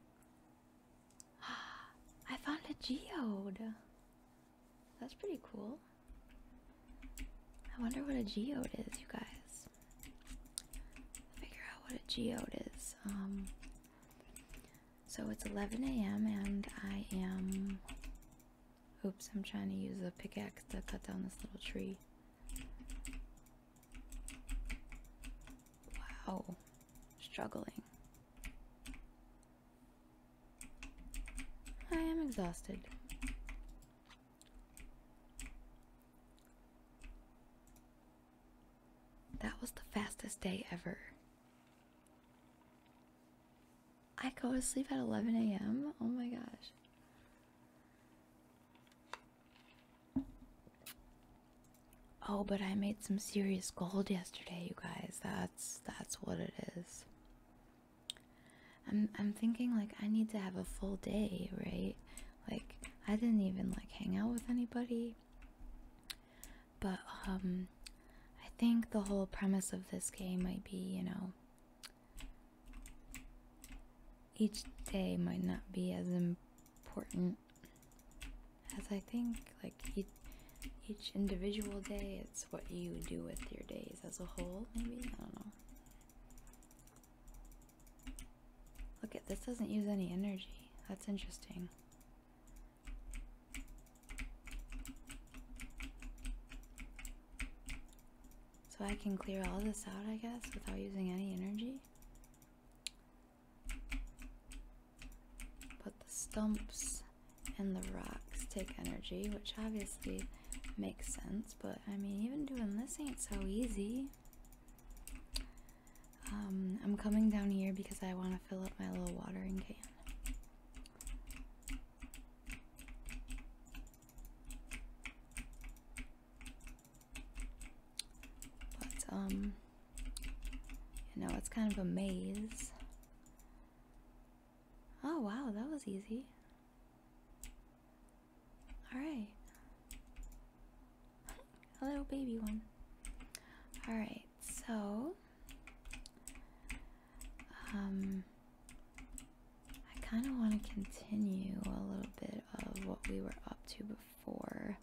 I found a geode. That's pretty cool. I wonder what a geode is, you guys. Figure out what a geode is. Um, so it's 11 a.m. and I am. Oops, I'm trying to use a pickaxe to cut down this little tree. Wow, struggling. I am exhausted. That was the fastest day ever. I go to sleep at 11 a.m. Oh my gosh. Oh, but I made some serious gold yesterday, you guys. That's that's what it is. I'm I'm thinking like I need to have a full day, right? Like I didn't even like hang out with anybody. But um I think the whole premise of this game might be, you know, each day might not be as important as I think like each, each individual day it's what you do with your days as a whole maybe i don't know look at this doesn't use any energy that's interesting so i can clear all this out i guess without using any energy but the stumps and the rocks take energy, which obviously makes sense, but I mean, even doing this ain't so easy. Um, I'm coming down here because I want to fill up my little watering can. But, um, you know, it's kind of a maze. Oh wow, that was easy. Alright. A little baby one. Alright, so um I kinda wanna continue a little bit of what we were up to before.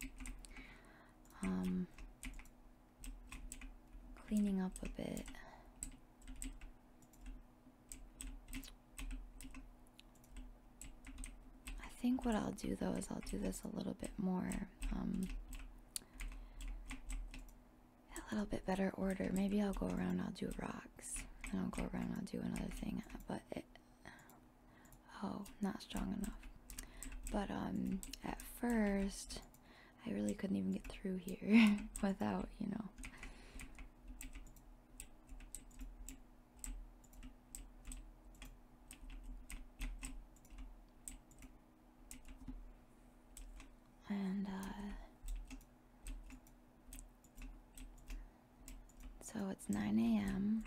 Um cleaning up a bit. I think what I'll do though is I'll do this a little bit more, um, a little bit better order. Maybe I'll go around, I'll do rocks, and I'll go around, I'll do another thing, but it, oh, not strong enough. But um, at first, I really couldn't even get through here without, you know. And, uh, so it's 9 a.m.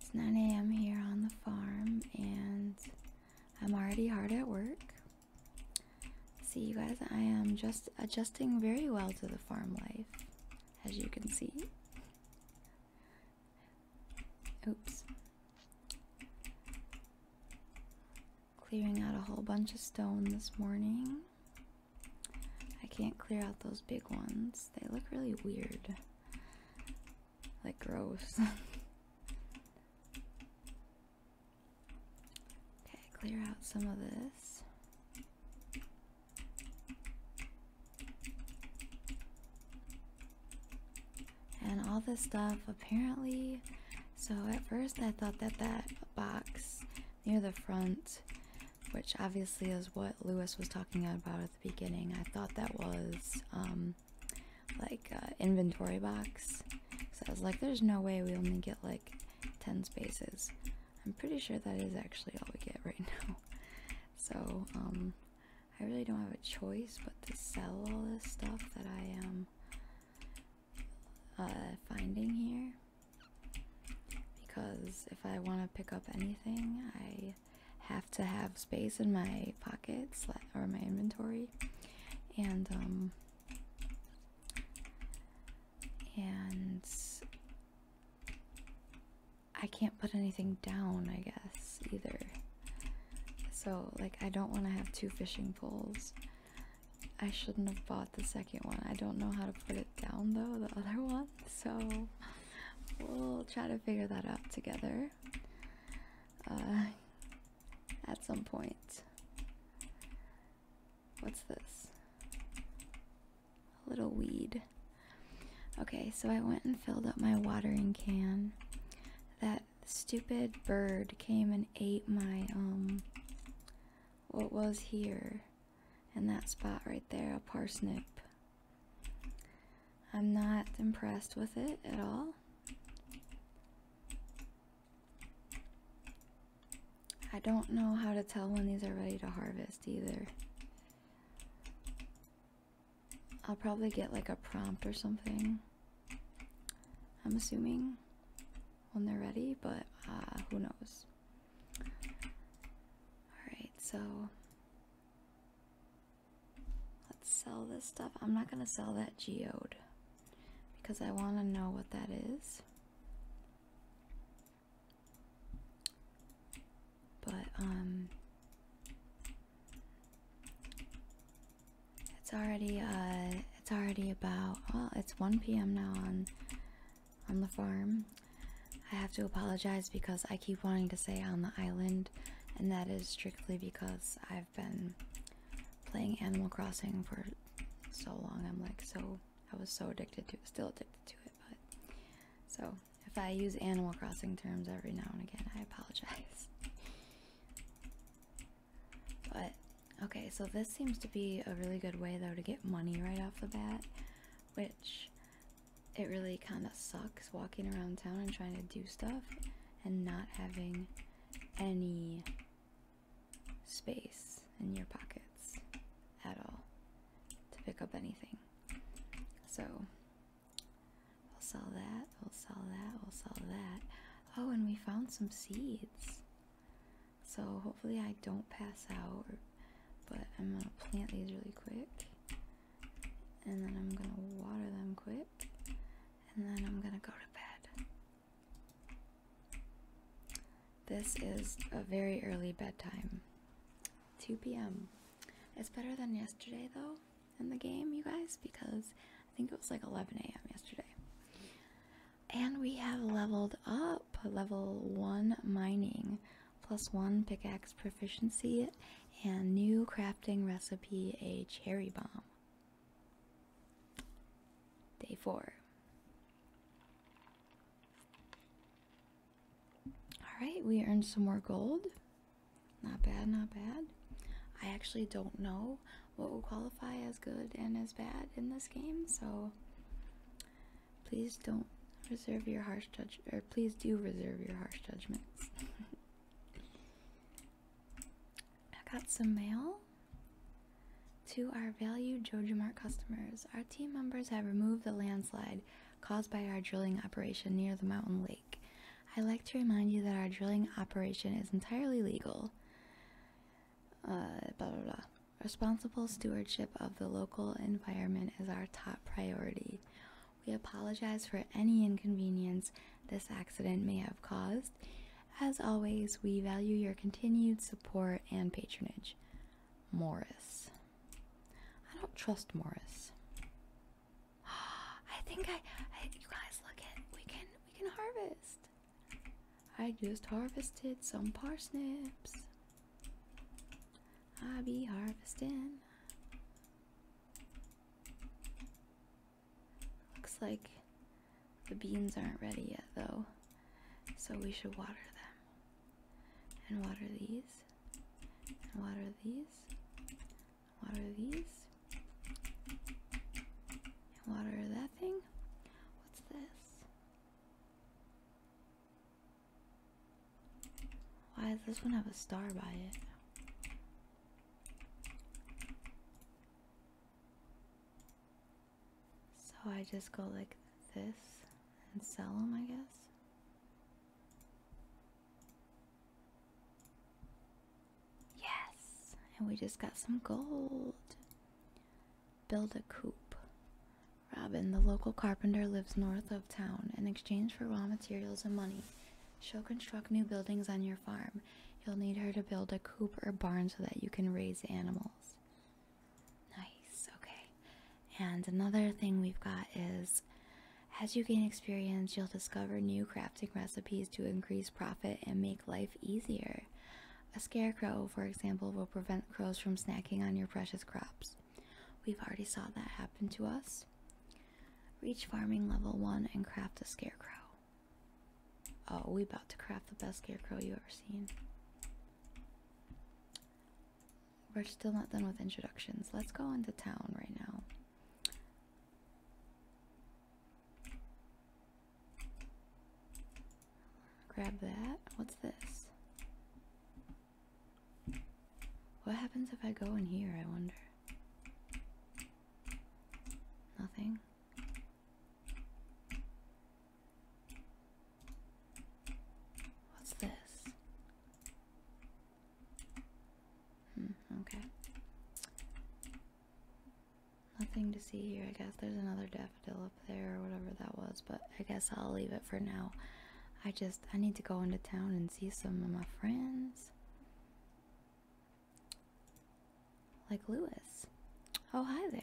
It's 9 a.m. here on the farm, and I'm already hard at work. See, you guys, I am just adjusting very well to the farm life, as you can see. Oops. Clearing out a whole bunch of stone this morning. I can't clear out those big ones, they look really weird. Like, gross. Okay, clear out some of this. And all this stuff apparently. So at first I thought that that box near the front, which obviously is what Lewis was talking about at the beginning, I thought that was um, like uh, inventory box. So I was like, there's no way we only get like 10 spaces. I'm pretty sure that is actually all we get right now. So um, I really don't have a choice but to sell all this stuff that I am uh, finding here. Because if I want to pick up anything, I have to have space in my pockets or my inventory. And um, and I can't put anything down, I guess, either. So, like, I don't want to have two fishing poles. I shouldn't have bought the second one. I don't know how to put it down, though, the other one. So, we'll try to figure that out together. Uh, at some point. What's this? A little weed. Okay, so I went and filled up my watering can. That stupid bird came and ate my, um, what was here in that spot right there, a parsnip. I'm not impressed with it at all. I don't know how to tell when these are ready to harvest either. I'll probably get like a prompt or something. I'm assuming when they're ready, but uh, who knows? Alright, so let's sell this stuff. I'm not gonna sell that geode because I want to know what that is. But, um, it's already, uh, it's already about, well, it's 1 p.m. now on, on the farm. I have to apologize because I keep wanting to say on the island, and that is strictly because I've been playing Animal Crossing for so long. I'm like so I was so addicted to it, still addicted to it, but so if I use Animal Crossing terms every now and again, I apologize. But okay, so this seems to be a really good way though to get money right off the bat, which it really kind of sucks walking around town and trying to do stuff and not having any space in your pockets at all to pick up anything. So we'll sell that, we'll sell that, we'll sell that. Oh, and we found some seeds. So hopefully I don't pass out, but I'm gonna plant these really quick. And then I'm gonna water them quick. And then I'm gonna go to bed. This is a very early bedtime. 2 p.m. It's better than yesterday though in the game, you guys, because I think it was like 11 a.m. yesterday. And we have leveled up level 1 mining, plus 1 pickaxe proficiency, and new crafting recipe a cherry bomb. Day four. All right, we earned some more gold. Not bad, not bad. I actually don't know what will qualify as good and as bad in this game, so please don't reserve your harsh judge or please do reserve your harsh judgments. I got some mail to our valued Jojo Mart customers. Our team members have removed the landslide caused by our drilling operation near the mountain lake. i like to remind you that our drilling operation is entirely legal. Uh, blah blah blah. Responsible stewardship of the local environment is our top priority. We apologize for any inconvenience this accident may have caused as always, we value your continued support and patronage. Morris. I don't trust Morris. I think I, you guys look at we can we can harvest. I just harvested some parsnips. I be harvesting. Looks like the beans aren't ready yet, though, so we should water them. And water these, and water these, water these, and water that thing. What's this? Why does this one have a star by it? So I just go like this and sell them, I guess. Yes! And we just got some gold. Build a coop. Robin, the local carpenter, lives north of town. In exchange for raw materials and money, she'll construct new buildings on your farm. You'll need her to build a coop or barn so that you can raise animals. Nice, okay. And another thing we've got is as you gain experience, you'll discover new crafting recipes to increase profit and make life easier. A scarecrow, for example, will prevent crows from snacking on your precious crops. We've already saw that happen to us. Reach farming level 1 and craft a scarecrow. Oh, we about to craft the best scarecrow you ever seen. We're still not done with introductions. Let's go into town right now. Grab that. What's this? What happens if I go in here, I wonder? Nothing. What's this? Hmm, okay. Nothing to see here. I guess there's another daffodil up there or whatever that was, but I guess I'll leave it for now. I just I need to go into town and see some of my friends. Like Lewis. Oh, hi there.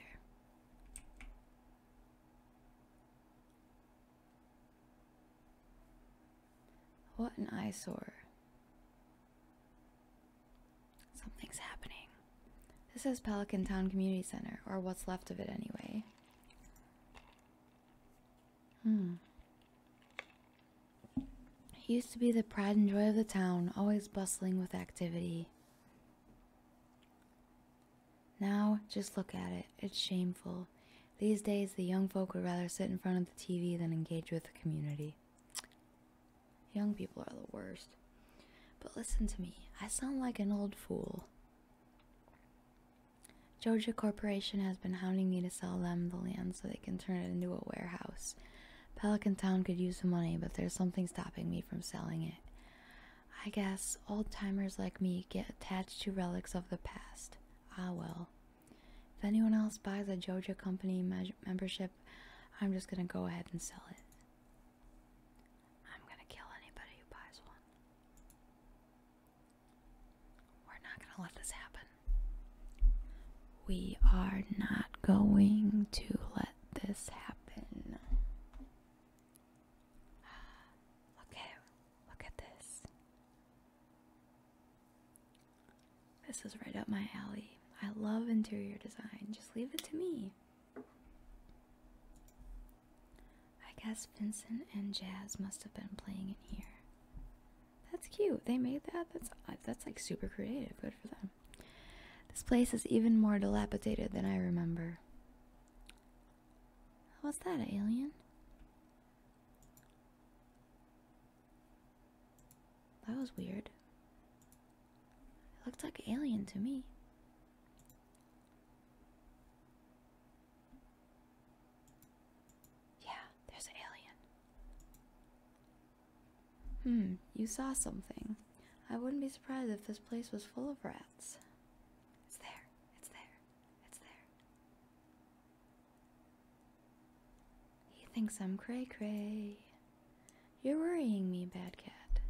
What an eyesore. Something's happening. This is Pelican Town Community Center, or what's left of it anyway. Hmm. It used to be the pride and joy of the town, always bustling with activity. Now, just look at it. It's shameful. These days, the young folk would rather sit in front of the TV than engage with the community. Young people are the worst. But listen to me, I sound like an old fool. Georgia Corporation has been hounding me to sell them the land so they can turn it into a warehouse. Pelican Town could use the money, but there's something stopping me from selling it. I guess old timers like me get attached to relics of the past. Ah, well. If anyone else buys a JoJo Company membership, I'm just gonna go ahead and sell it. I'm gonna kill anybody who buys one. We're not gonna let this happen. We are not going to let this happen. Look look at this. This is right up my alley. I love interior design. Just leave it to me. I guess Vincent and Jazz must have been playing in here. That's cute. They made that. That's uh, that's like super creative. Good for them. This place is even more dilapidated than I remember. Was that, alien? That was weird. It looked like alien to me. Yeah, there's an alien. Hmm, you saw something. I wouldn't be surprised if this place was full of rats. It's there, it's there, it's there. He thinks I'm cray cray. You're worrying me, bad cat.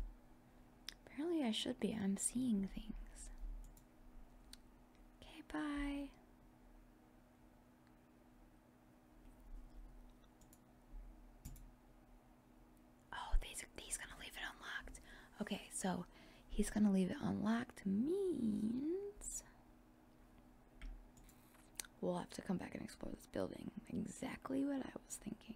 Apparently, I should be. I'm seeing things. Okay, bye. Oh, these, he's gonna leave it unlocked. Okay, so he's gonna leave it unlocked means we'll have to come back and explore this building. Exactly what I was thinking.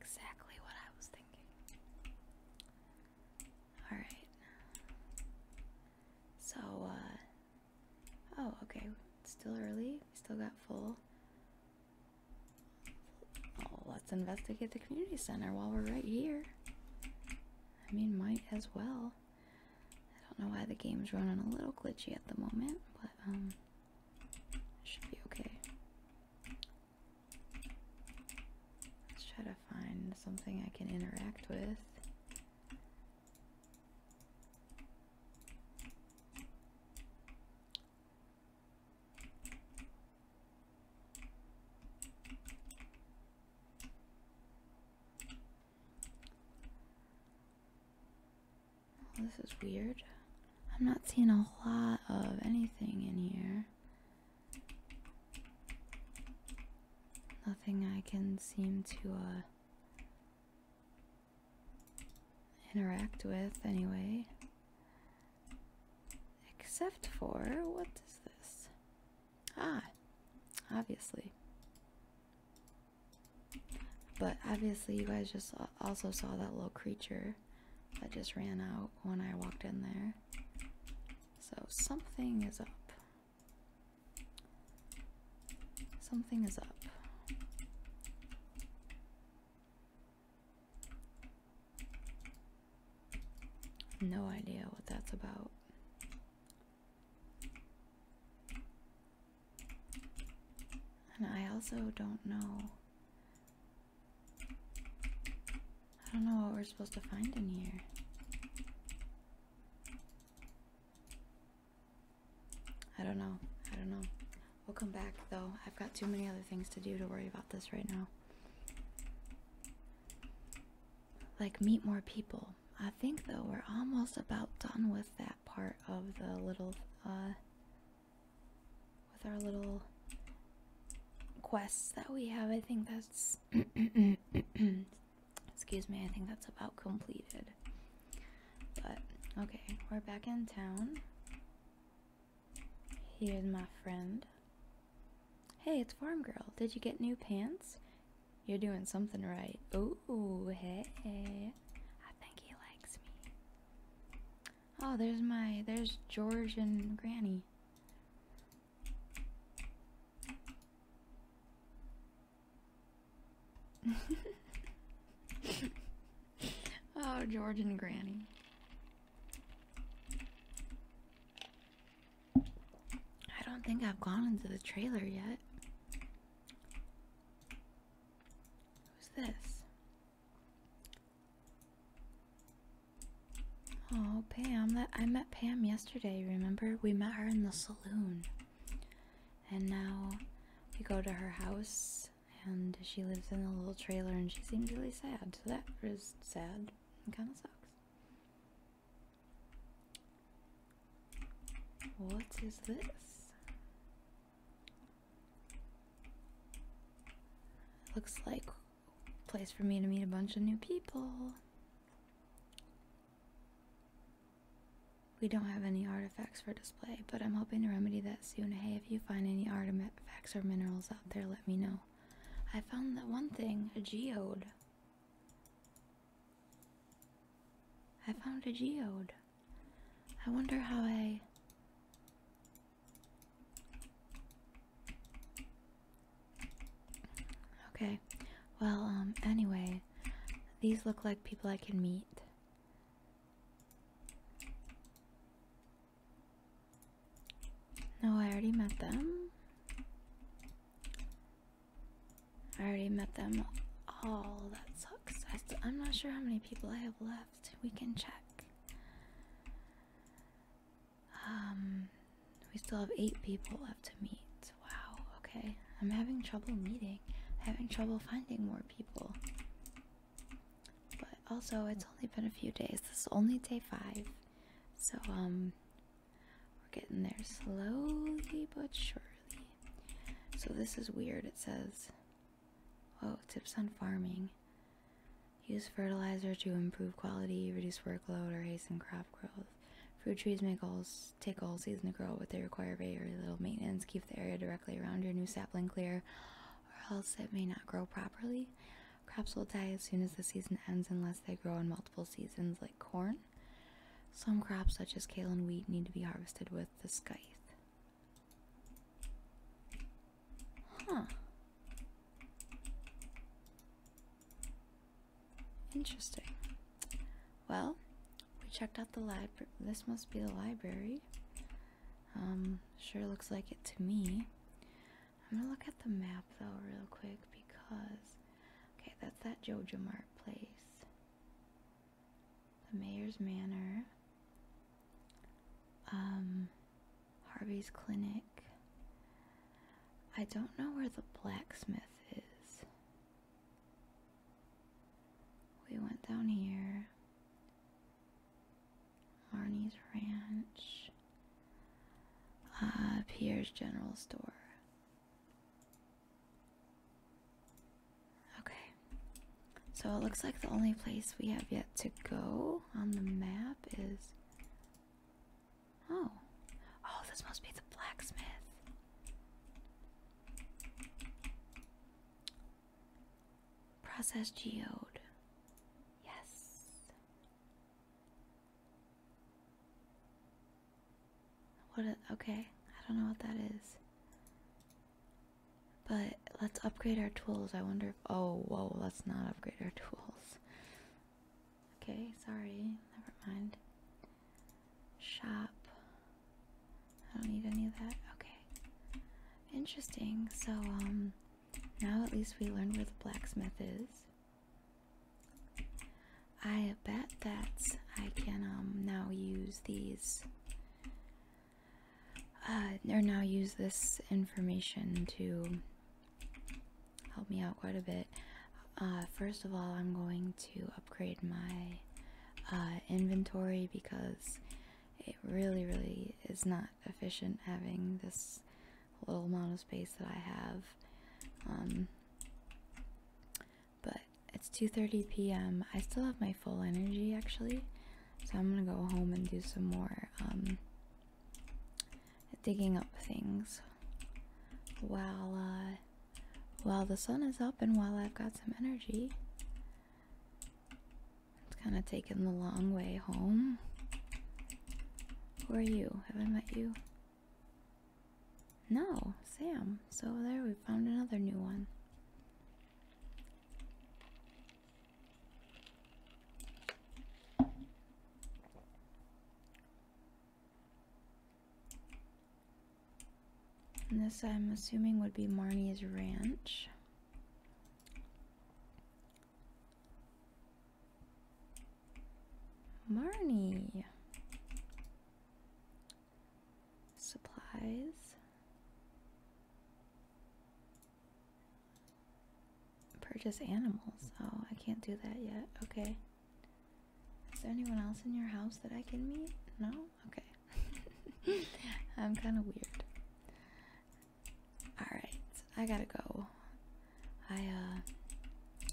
Exactly what I was thinking. Alright. So, uh, Oh, okay. still early. We still got full. let's investigate the community center while we're right here. I mean, might as well. I don't know why the game's running a little glitchy at the moment, but um, should be okay. Let's try to find something I can interact with. Oh, this is weird. I'm not seeing a lot of anything in here. Nothing I can seem to uh interact with anyway. Except for, what is this? Ah, obviously. But obviously, you guys just also saw that little creature that just ran out when I walked in there. So something is up. Something is up. No idea what that's about. And I also don't know. I don't know what we're supposed to find in here. I don't know. I don't know. We'll come back though. I've got too many other things to do to worry about this right now. Like, meet more people. I think though, we're almost about done with that part of the little, uh, with our little quests that we have. I think that's, excuse me, I think that's about completed. But okay, we're back in town. Here's my friend. Hey, it's Farm Girl. Did you get new pants? You're doing something right. Oh, hey. I think he likes me. Oh, there's my there's George and Granny. oh, George and Granny. I don't think I've gone into the trailer yet. Who's this? Oh, Pam. That I met Pam yesterday, remember? We met her in the saloon and now we go to her house and she lives in a little trailer and she seems really sad so that is sad and kind of sucks what is this looks like place for me to meet a bunch of new people we don't have any artifacts for display, but I'm hoping to remedy that soon. Hey, if you find any artifacts or minerals out there, let me know. I found that one thing, a geode. I found a geode. I wonder how I. Okay, well, um, anyway, these look like people I can meet. No, I already met them. I already met them all. Oh, that sucks. I am not sure how many people I have left. We can check. Um, we still have eight people left to meet. Wow. Okay. I'm having trouble meeting. having trouble finding more people. But also, it's only been a few days. This is only day five. So, um, we're getting there slowly but surely. So, this is weird. It says, oh, tips on farming. Use fertilizer to improve quality, reduce workload, or hasten crop growth. Fruit trees make all, take all season to grow, but they require very little maintenance keep the area directly around your new sapling clear, or else it may not grow properly. Crops will die as soon as the season ends unless they grow in multiple seasons, like corn. Some crops, such as kale and wheat, need to be harvested with the scythe. Huh. Interesting. Well, we checked out the library. This must be the library. Um, sure looks like it to me. I'm gonna look at the map though, real quick, because. Okay, that's that Jojo Mart place. The Mayor's Manor. Um, Harvey's Clinic. I don't know where the blacksmith is. We went down here. Arnie's Ranch. Uh, Pierre's General Store. Okay. So it looks like the only place we have yet to go on the map is. Oh. Oh, this must be the blacksmith. Process geode. Yes. What? okay, I don't know what that is. But let's upgrade our tools. I wonder if. Oh, whoa, let's not upgrade our tools. Okay, sorry. Never mind. Shop. I don't need any of that. Okay. Interesting. So, um, now at least we learned where the blacksmith is. I bet that I can, um, now use these. Uh, or now use this information to help me out quite a bit. Uh, first of all, I'm going to upgrade my uh, inventory because it really, really is not efficient having this little amount of space that I have. Um, but it's 2:30 p.m. I still have my full energy actually, so I'm gonna go home and do some more um, digging up things while uh, while the sun is up and while I've got some energy. It's kind of taking the long way home. Who are you? Have I met you? No, Sam. So there we found another new one. And this, I'm assuming, would be Marnie's Ranch. Marnie. Supplies. Purchase animals. Oh, I can't do that yet. Okay. Is there anyone else in your house that I can meet? No? Okay. I'm kind of weird. Alright, I gotta go. I, uh,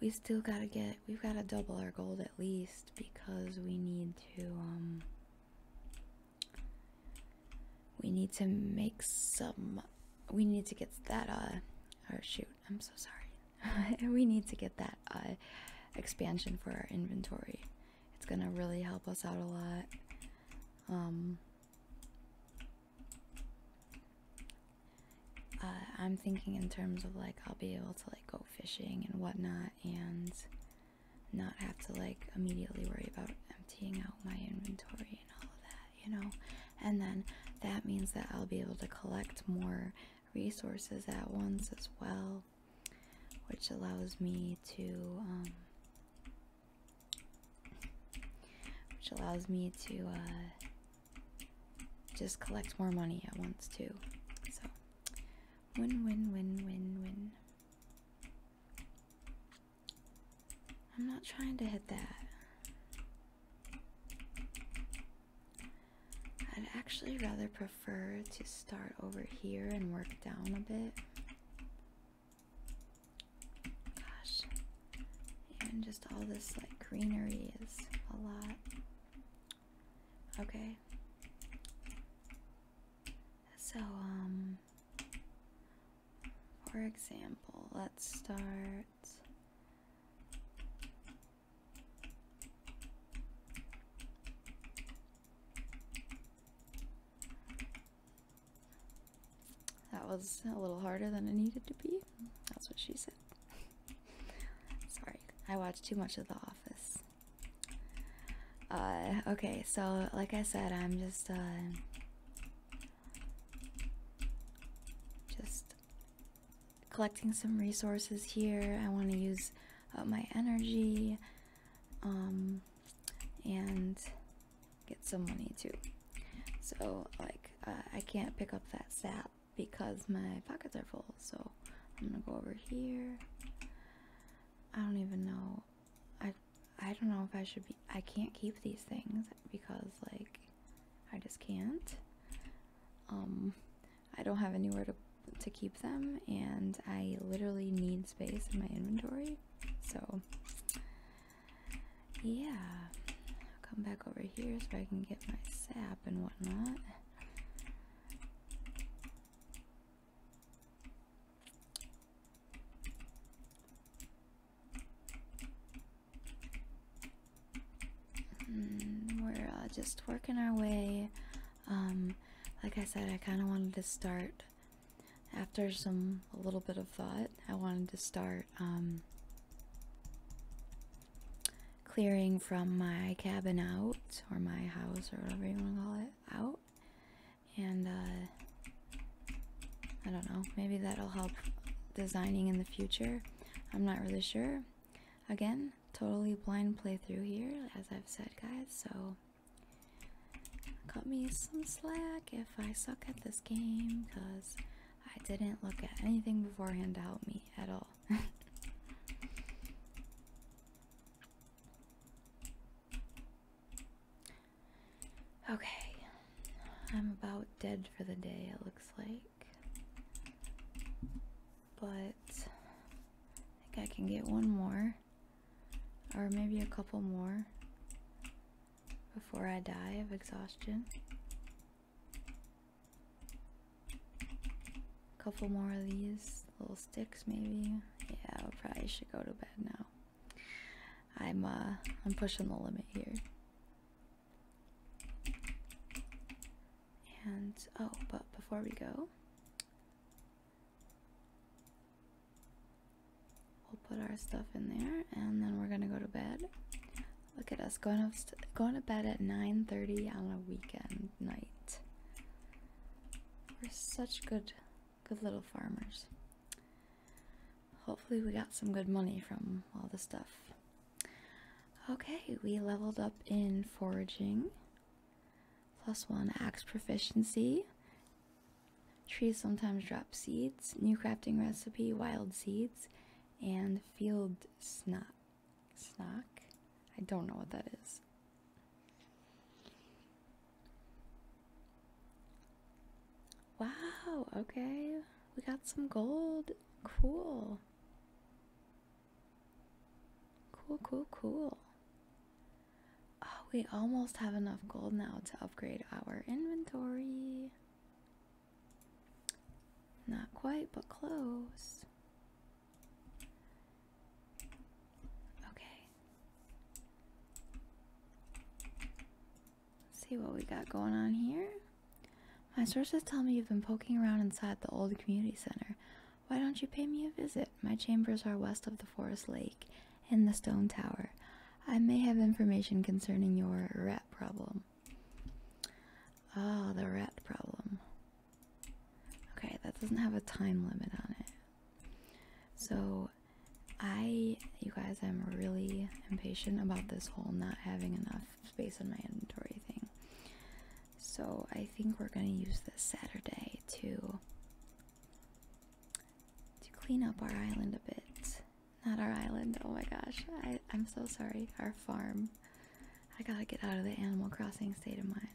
we still gotta get, we've gotta double our gold at least because we need to, um, we need to make some, we need to get that, uh, or shoot, I'm so sorry. we need to get that, uh, expansion for our inventory it's gonna really help us out a lot. Um, uh, I'm thinking in terms of like I'll be able to like go fishing and whatnot and not have to like immediately worry about emptying out my inventory and all of that, you know. And then that means that I'll be able to collect more resources at once as well which allows me to um, which allows me to uh, just collect more money at once too. So win win win win win. I'm not trying to hit that. I'd actually rather prefer to start over here and work down a bit. Gosh, even just all this like greenery is a lot. Okay. So, um, for example, let's start. That was a little harder than it needed to be. That's what she said. Sorry, I watched too much of The Office. Uh, okay, so like I said, I'm just, uh, just collecting some resources here. I want to use uh, my energy um, and get some money too. So like I can't pick up that sap because my pockets are full. So I'm gonna go over here. I don't even know. I I don't know if I should be. I can't keep these things because like I just can't. Um, I don't have anywhere to to keep them and I literally need space in my inventory. So yeah. I'll come back over here so I can get my sap and whatnot. Hmm, we're uh, just working our way um, like I said, I kind of wanted to start after some a little bit of thought. I wanted to start um, clearing from my cabin out or my house or whatever you want to call it out, and uh, I don't know. Maybe that'll help designing in the future. I'm not really sure. Again, totally blind playthrough here, as I've said, guys. So. Cut me some slack if I suck at this game, because I didn't look at anything beforehand to help me at all. okay, I'm about dead for the day, it looks like. But I think I can get one more or maybe a couple more before I die of exhaustion. A couple more of these little sticks, maybe. Yeah, I probably should go to bed now. I'm uh, I'm pushing the limit here. And oh, but before we go, We'll put our stuff in there and then we're gonna go to bed. Look at us going to, going to bed at 9:30 on a weekend night. We're such good good little farmers. Hopefully we got some good money from all the stuff. Okay, we leveled up in foraging. Plus one axe proficiency. Trees sometimes drop seeds. New crafting recipe, wild seeds, and field snack. Snock? I don't know what that is. Wow, okay. We got some gold. Cool. Cool, cool, cool. Oh, we almost have enough gold now to upgrade our inventory. Not quite, but close. Okay. see what we got going on here. My sources tell me you've been poking around inside the old community center. Why don't you pay me a visit? My chambers are west of the forest lake in the stone tower. I may have information concerning your rat problem. Oh, the rat problem. Okay, that doesn't have a time limit on it. So, I, you guys, I'm really impatient about this whole not having enough space in my inventory thing. So, I think we're going to use this Saturday to to clean up our island a bit. Not our island, oh my gosh. I, I'm so sorry. Our farm. I gotta get out of the Animal Crossing state of mind.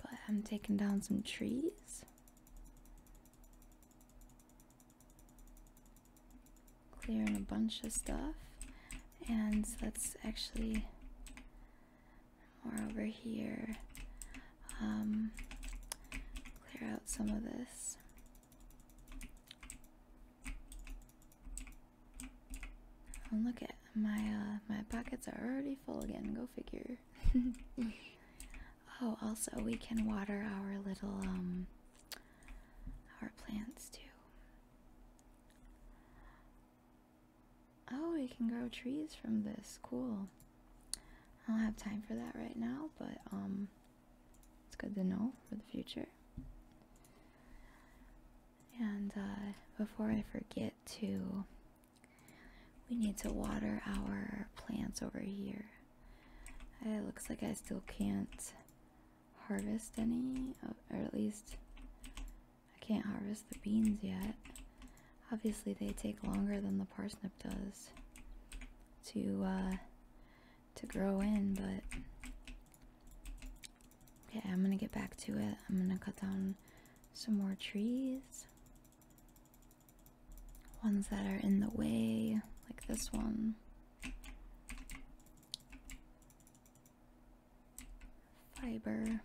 But I'm taking down some trees clearing a bunch of stuff and let's actually more over here um, clear out some of this and oh, look at my uh, my pockets are already full again go figure oh also we can water our little um, our plants too. Oh, we can grow trees from this. Cool. I don't have time for that right now, but um it's good to know for the future. And uh before I forget to we need to water our plants over here. It looks like I still can't harvest any, or at least I can't harvest the beans yet. Obviously, they take longer than the parsnip does to uh, to grow in, but yeah, I'm gonna get back to it. I'm gonna cut down some more trees, ones that are in the way, like this one. Fiber.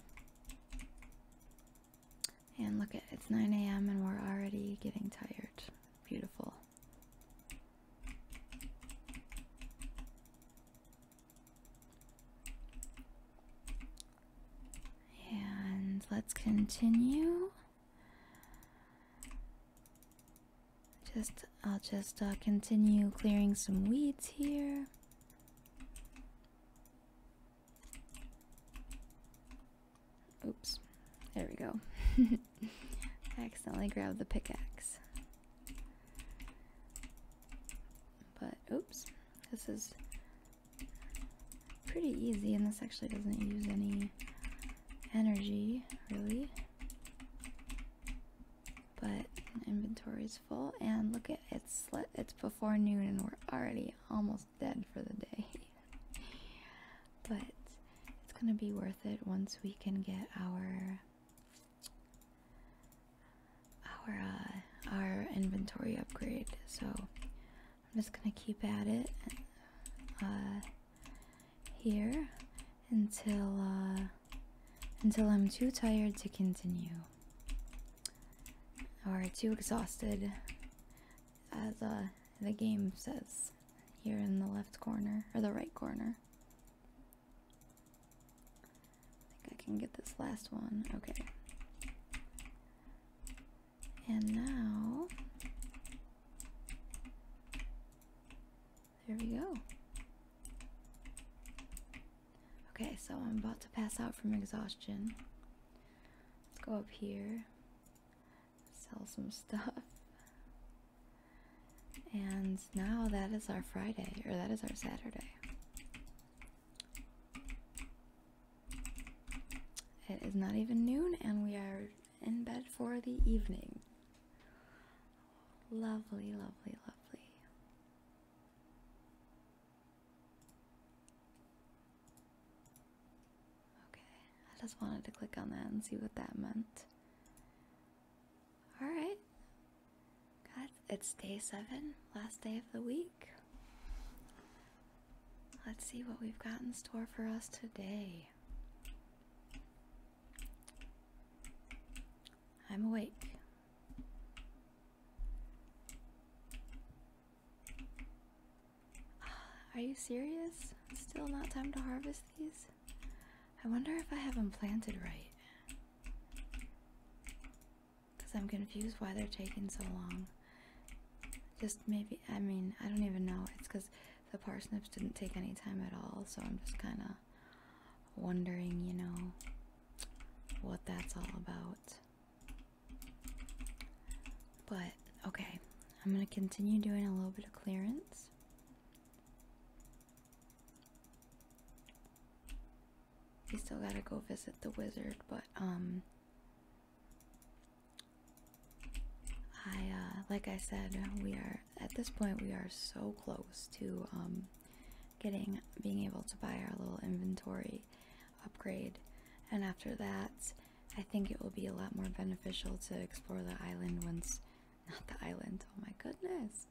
And look at it's 9 a.m. and we're already getting tired. Beautiful. And let's continue. Just I'll just uh, continue clearing some weeds here. Oops. There we go. accidentally grabbed the pickaxe. But oops. This is pretty easy and this actually doesn't use any energy, really. But inventory is full, and look at it's it's before noon, and we're already almost dead for the day. but it's gonna be worth it once we can get our our uh, our inventory upgrade. So I'm just gonna keep at it. Uh, here until uh, until I'm too tired to continue or too exhausted as uh, the game says here in the left corner or the right corner. I think I can get this last one. Okay. And now there we go. Okay, so I'm about to pass out from exhaustion. Let's go up here, sell some stuff. And now that is our Friday, or that is our Saturday. It is not even noon, and we are in bed for the evening. Lovely, lovely, lovely. Okay, I just wanted to click on that and see what that meant. Alright. God, it's day seven, last day of the week. Let's see what we've got in store for us today. I'm awake. Are you serious? Still not time to harvest these? I wonder if I have them planted right. Because I'm confused why they're taking so long. Just maybe, I mean, I don't even know. It's because the parsnips didn't take any time at all, so I'm just kind of wondering, you know, what that's all about. But okay, I'm going to continue doing a little bit of clearance. We still gotta go visit the wizard, but um, I uh, like I said, we are at this point we are so close to um, getting being able to buy our little inventory upgrade and after that I think it will be a lot more beneficial to explore the island once not the island oh my goodness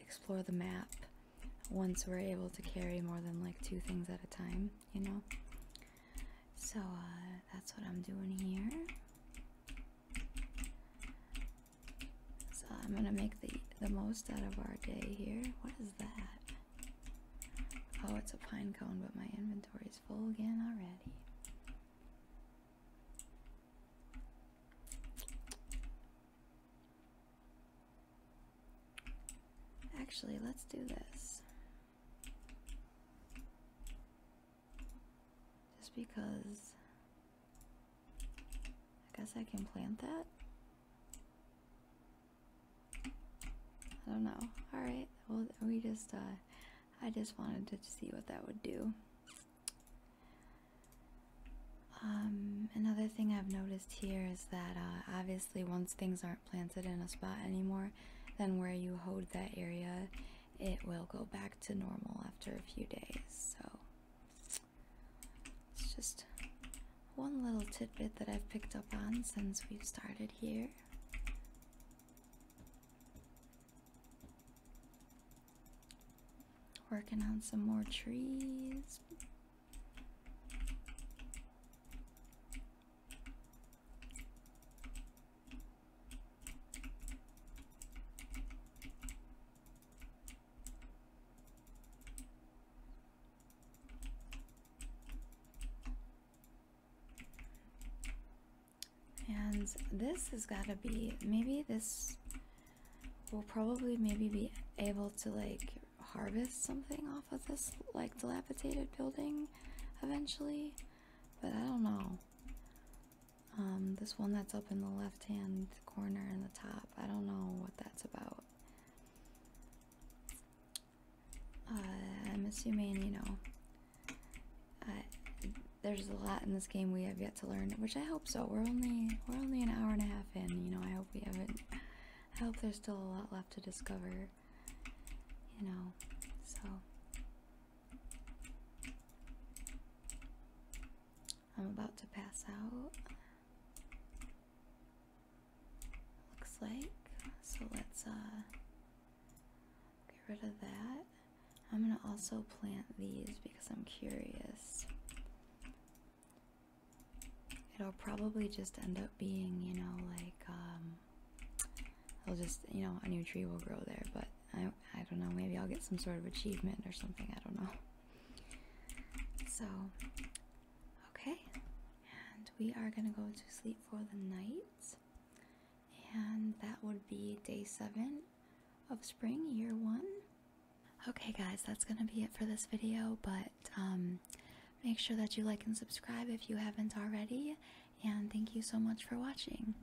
explore the map once we're able to carry more than like two things at a time you know so uh, that's what I'm doing here so I'm gonna make the the most out of our day here. What is that? Oh, it's a pine cone, but my inventory is full again already. Actually, let's do this. Just because I guess I can plant that. I don't know. Alright, well we just uh, I just wanted to see what that would do. Um, another thing I've noticed here is that uh, obviously once things aren't planted in a spot anymore, then where you hold that area, it will go back to normal after a few days. So it's just one little tidbit that I've picked up on since we started here. Working on some more trees. And this has got to be, maybe this we will probably maybe be able to like harvest something off of this like dilapidated building eventually, but I don't know. Um, this one that's up in the left hand corner in the top. I don't know what that's about. Uh, I'm assuming, you know, uh, there's a lot in this game we have yet to learn, which I hope so. We're only we're only an hour and a half in, you know. I hope we haven't. I hope there's still a lot left to discover, you know. So I'm about to pass out. Looks like. So let's uh get rid of that. I'm gonna also plant these because I'm curious. It'll probably just end up being, you know, like um it'll just you know, a new tree will grow there, but I, I don't know, maybe I'll get some sort of achievement or something, I don't know. So, okay, and we are gonna go to sleep for the night, and that would be day seven of spring, year one. Okay, guys, that's gonna be it for this video, but um, make sure that you like and subscribe if you haven't already, and thank you so much for watching.